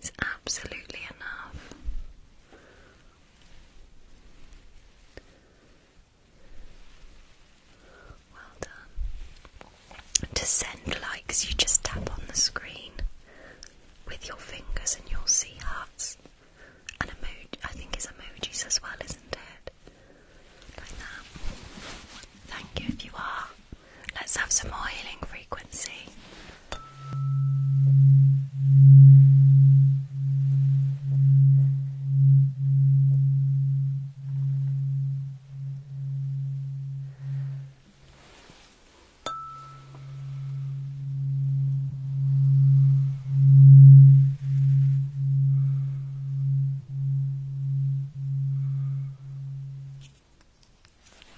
It's absolutely enough. Well done. To send likes, you just tap on the screen with your fingers and you'll see hearts and emoji. I think is emojis as well, isn't it? Like that. Thank you if you are. Let's have some more healing frequency.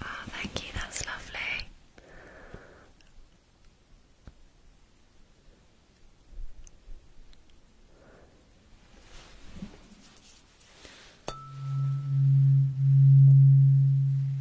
Oh, thank you, that's lovely.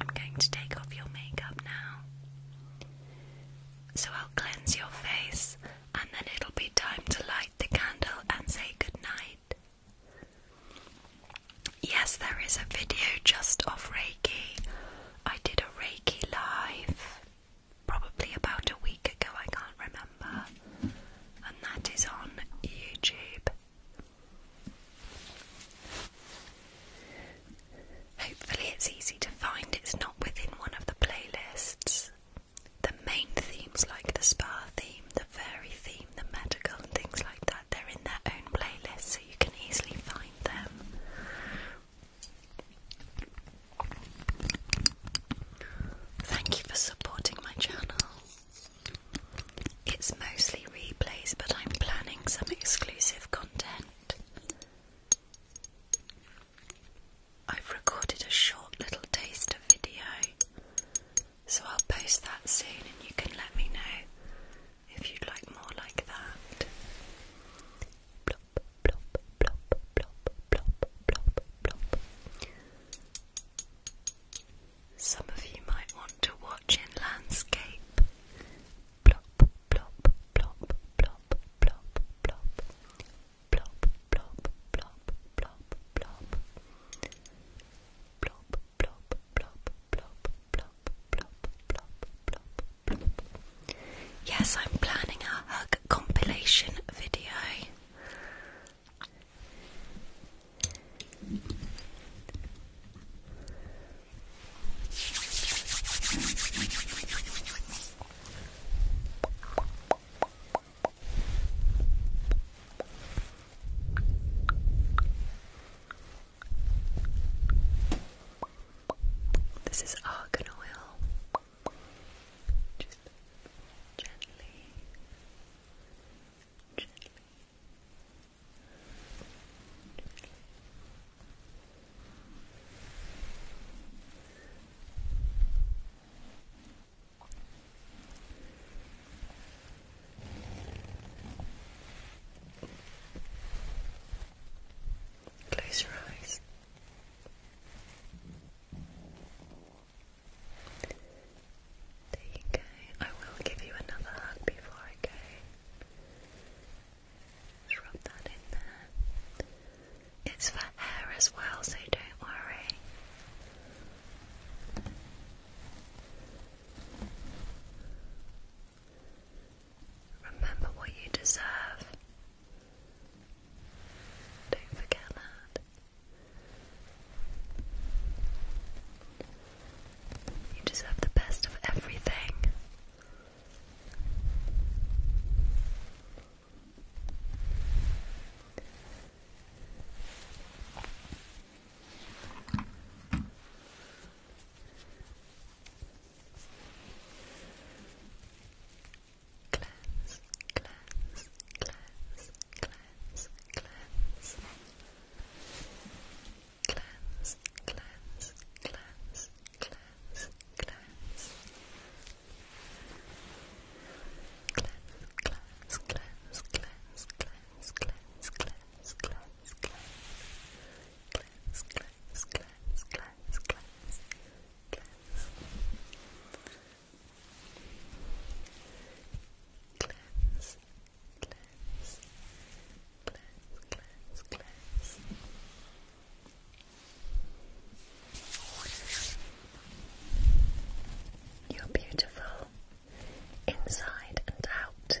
I'm going to take off your makeup now. So I'll cleanse your face and then it'll be time to light the candle and say goodnight. Yes, there is a video just of Reiki I did a Reiki live probably about a week ago, I can't remember, and that is on YouTube. Hopefully, it's easy to find, it's not within one of the playlists. The main themes, like the spa theme, the fairy theme, the medical, and things like that, they're in their own playlist, so you can easily find them. Thank you for supporting my channel. It's mostly replays, but I'm planning some exclusive content. I've recorded a short little taste of video, so I'll post that soon and you can let me know if you'd like more like that. Some of you might want to watch in landscape. Yes, I'm planning a hug compilation video. This is argan oil. Just gently, gently, gently. Close your eyes. There you go. I will give you another hug before I go. rub that in there. It's for hair as well, so don't worry. Remember what you deserve. Don't forget that. You deserve the best of everything. Cleanse, cleanse, cleanse, cleanse, cleanse. Cleanse, cleanse, cleanse, cleanse, cleanse. Cleanse, cleanse, cleanse, cleanse, cleanse, cleanse, cleanse, cleanse, cleanse. Cleanse, cleanse, cleanse, cleanse, glass, glass, glass. Glass, glass, glass, glass, You're beautiful inside and out.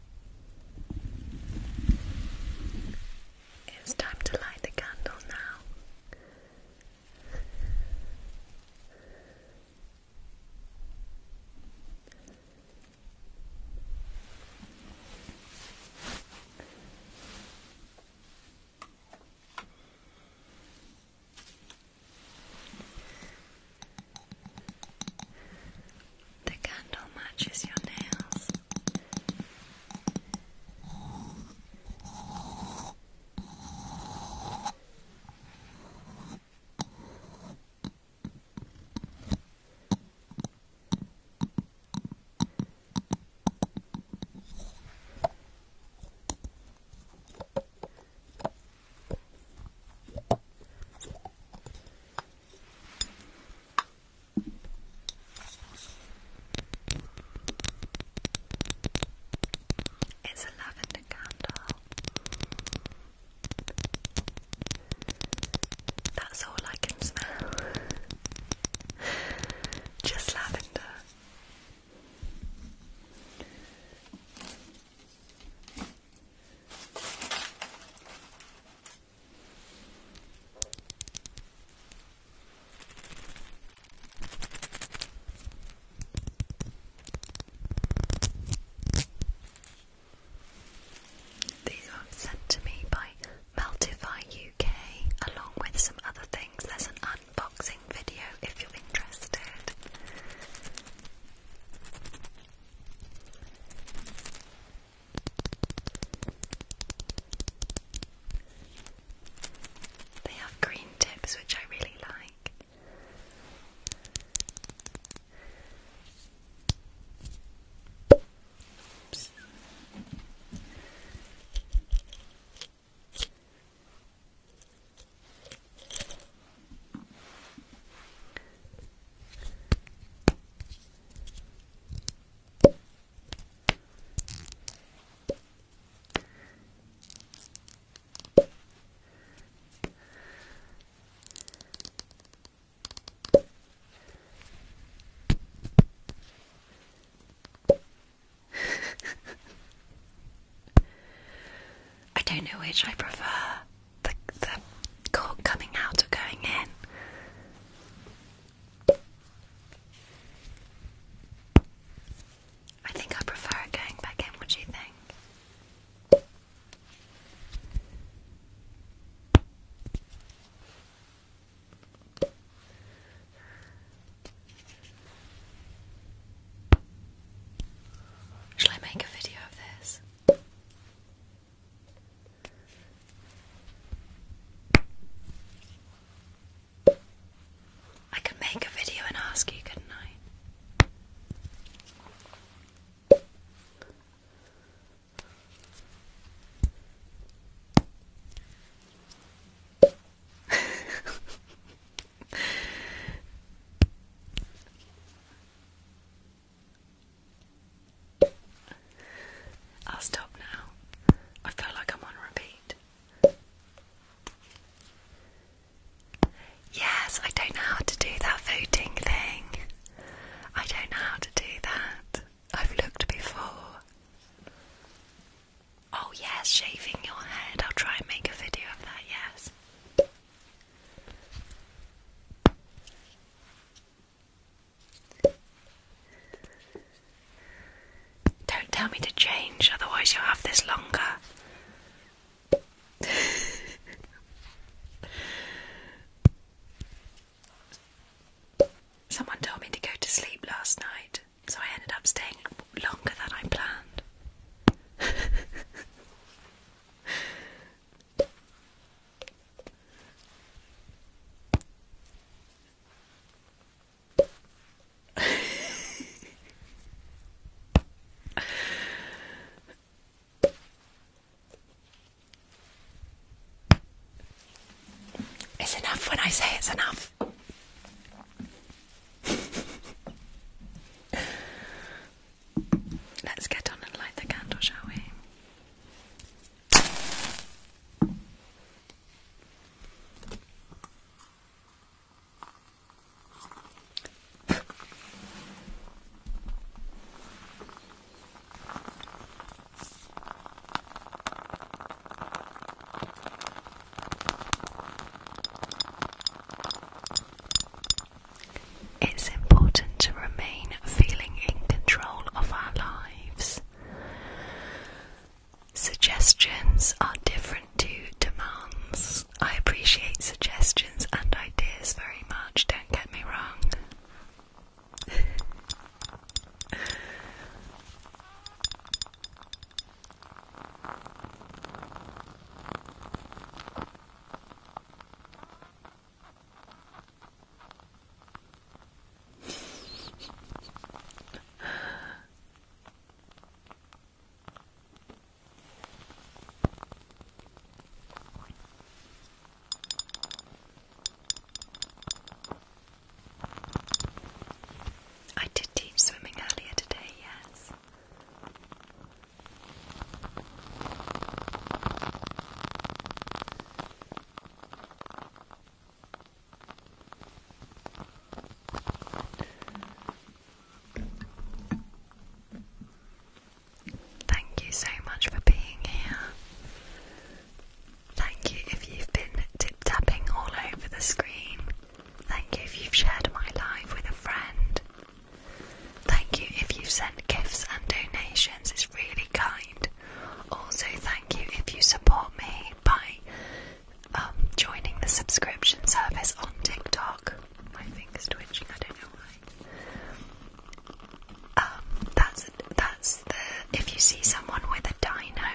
It's time to light the candle now. The candle matches your nails. It's a lavender candle. That's all I can smell. Just lavender. These were sent to me by Meltify UK along with some other things. There's an unboxing video if you're interested. They have green tips, which I really like. I don't know which I prefer the, the cork coming out or going in. I think I prefer going back in, what do you think? Shall I make a video of this? I can make a video and ask you, couldn't I'll stop now. I feel like I'm on repeat. Yes, I don't know how to do that voting thing. I don't know how to do that. I've looked before. Oh, yes, shaving your head. I'll try and make a video of that, yes. Don't tell me to change, otherwise, you'll have this longer. Someone told me to go to sleep last night, so I ended up staying longer than I planned. it's enough when I say it's enough. Let's get on and light the candle, shall we? It's important to remain feeling in control of our lives. Suggestions are different to demands. I appreciate suggestions and ideas very much, don't get me wrong. I did teach swimming earlier today, yes. Thank you so much for being here. Thank you if you've been tip tapping all over the screen. Thank you if you've shared my live with a friend. Thank you if you've sent gifts and donations, it's really kind. Also, thank thank you if you support me by um, joining the subscription service on TikTok. My finger's twitching, I don't know why. Um, that's that's the if you see someone with a dino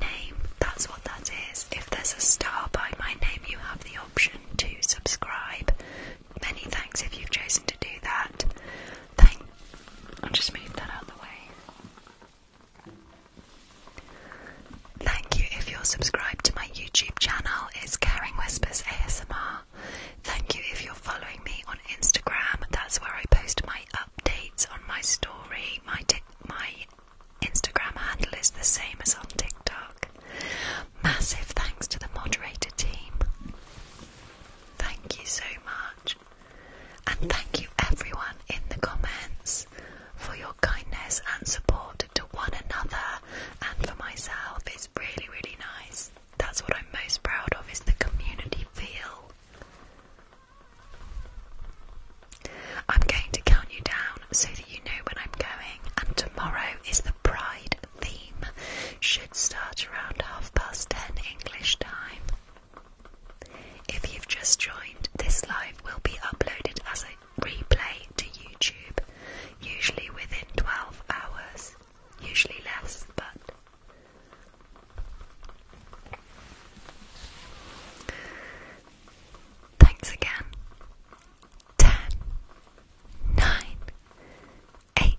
name, that's what that is. If there's a star by my name, you have the option to subscribe. Many thanks if you've chosen to do that. Thank I'll just move that out of the way. Thank you if you're subscribed to my YouTube channel, it's Caring Whispers ASMR. Thank you if you're following me on Instagram, that's where I post my updates on my story. My, my Instagram handle is the same as on TikTok. Massive thanks to the moderator team. Thank you so much. And thank you everyone in the comments for your kindness and support to one another and for myself. It's really, really nice. That's what I'm most proud of is the community feel. I'm going to count you down so that you know when I'm going, and tomorrow is the pride theme. Should start around half past ten English time. If you've just joined, this live will be uploaded as a replay to YouTube, usually within 12 hours, usually less, but. Thanks again. 10, 8,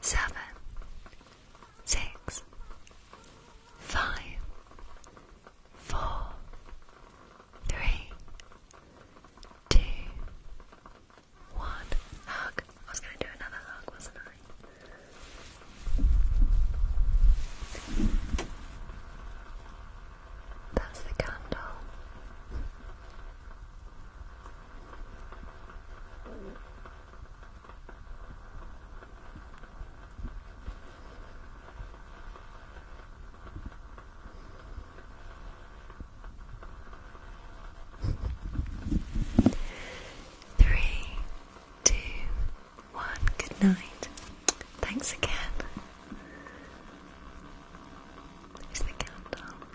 seven, six, five, four, three, two, one. Hug. I was going to do another hug, wasn't I? That's the candle. Three, two, one. Good night. Thanks again. There's the countdown.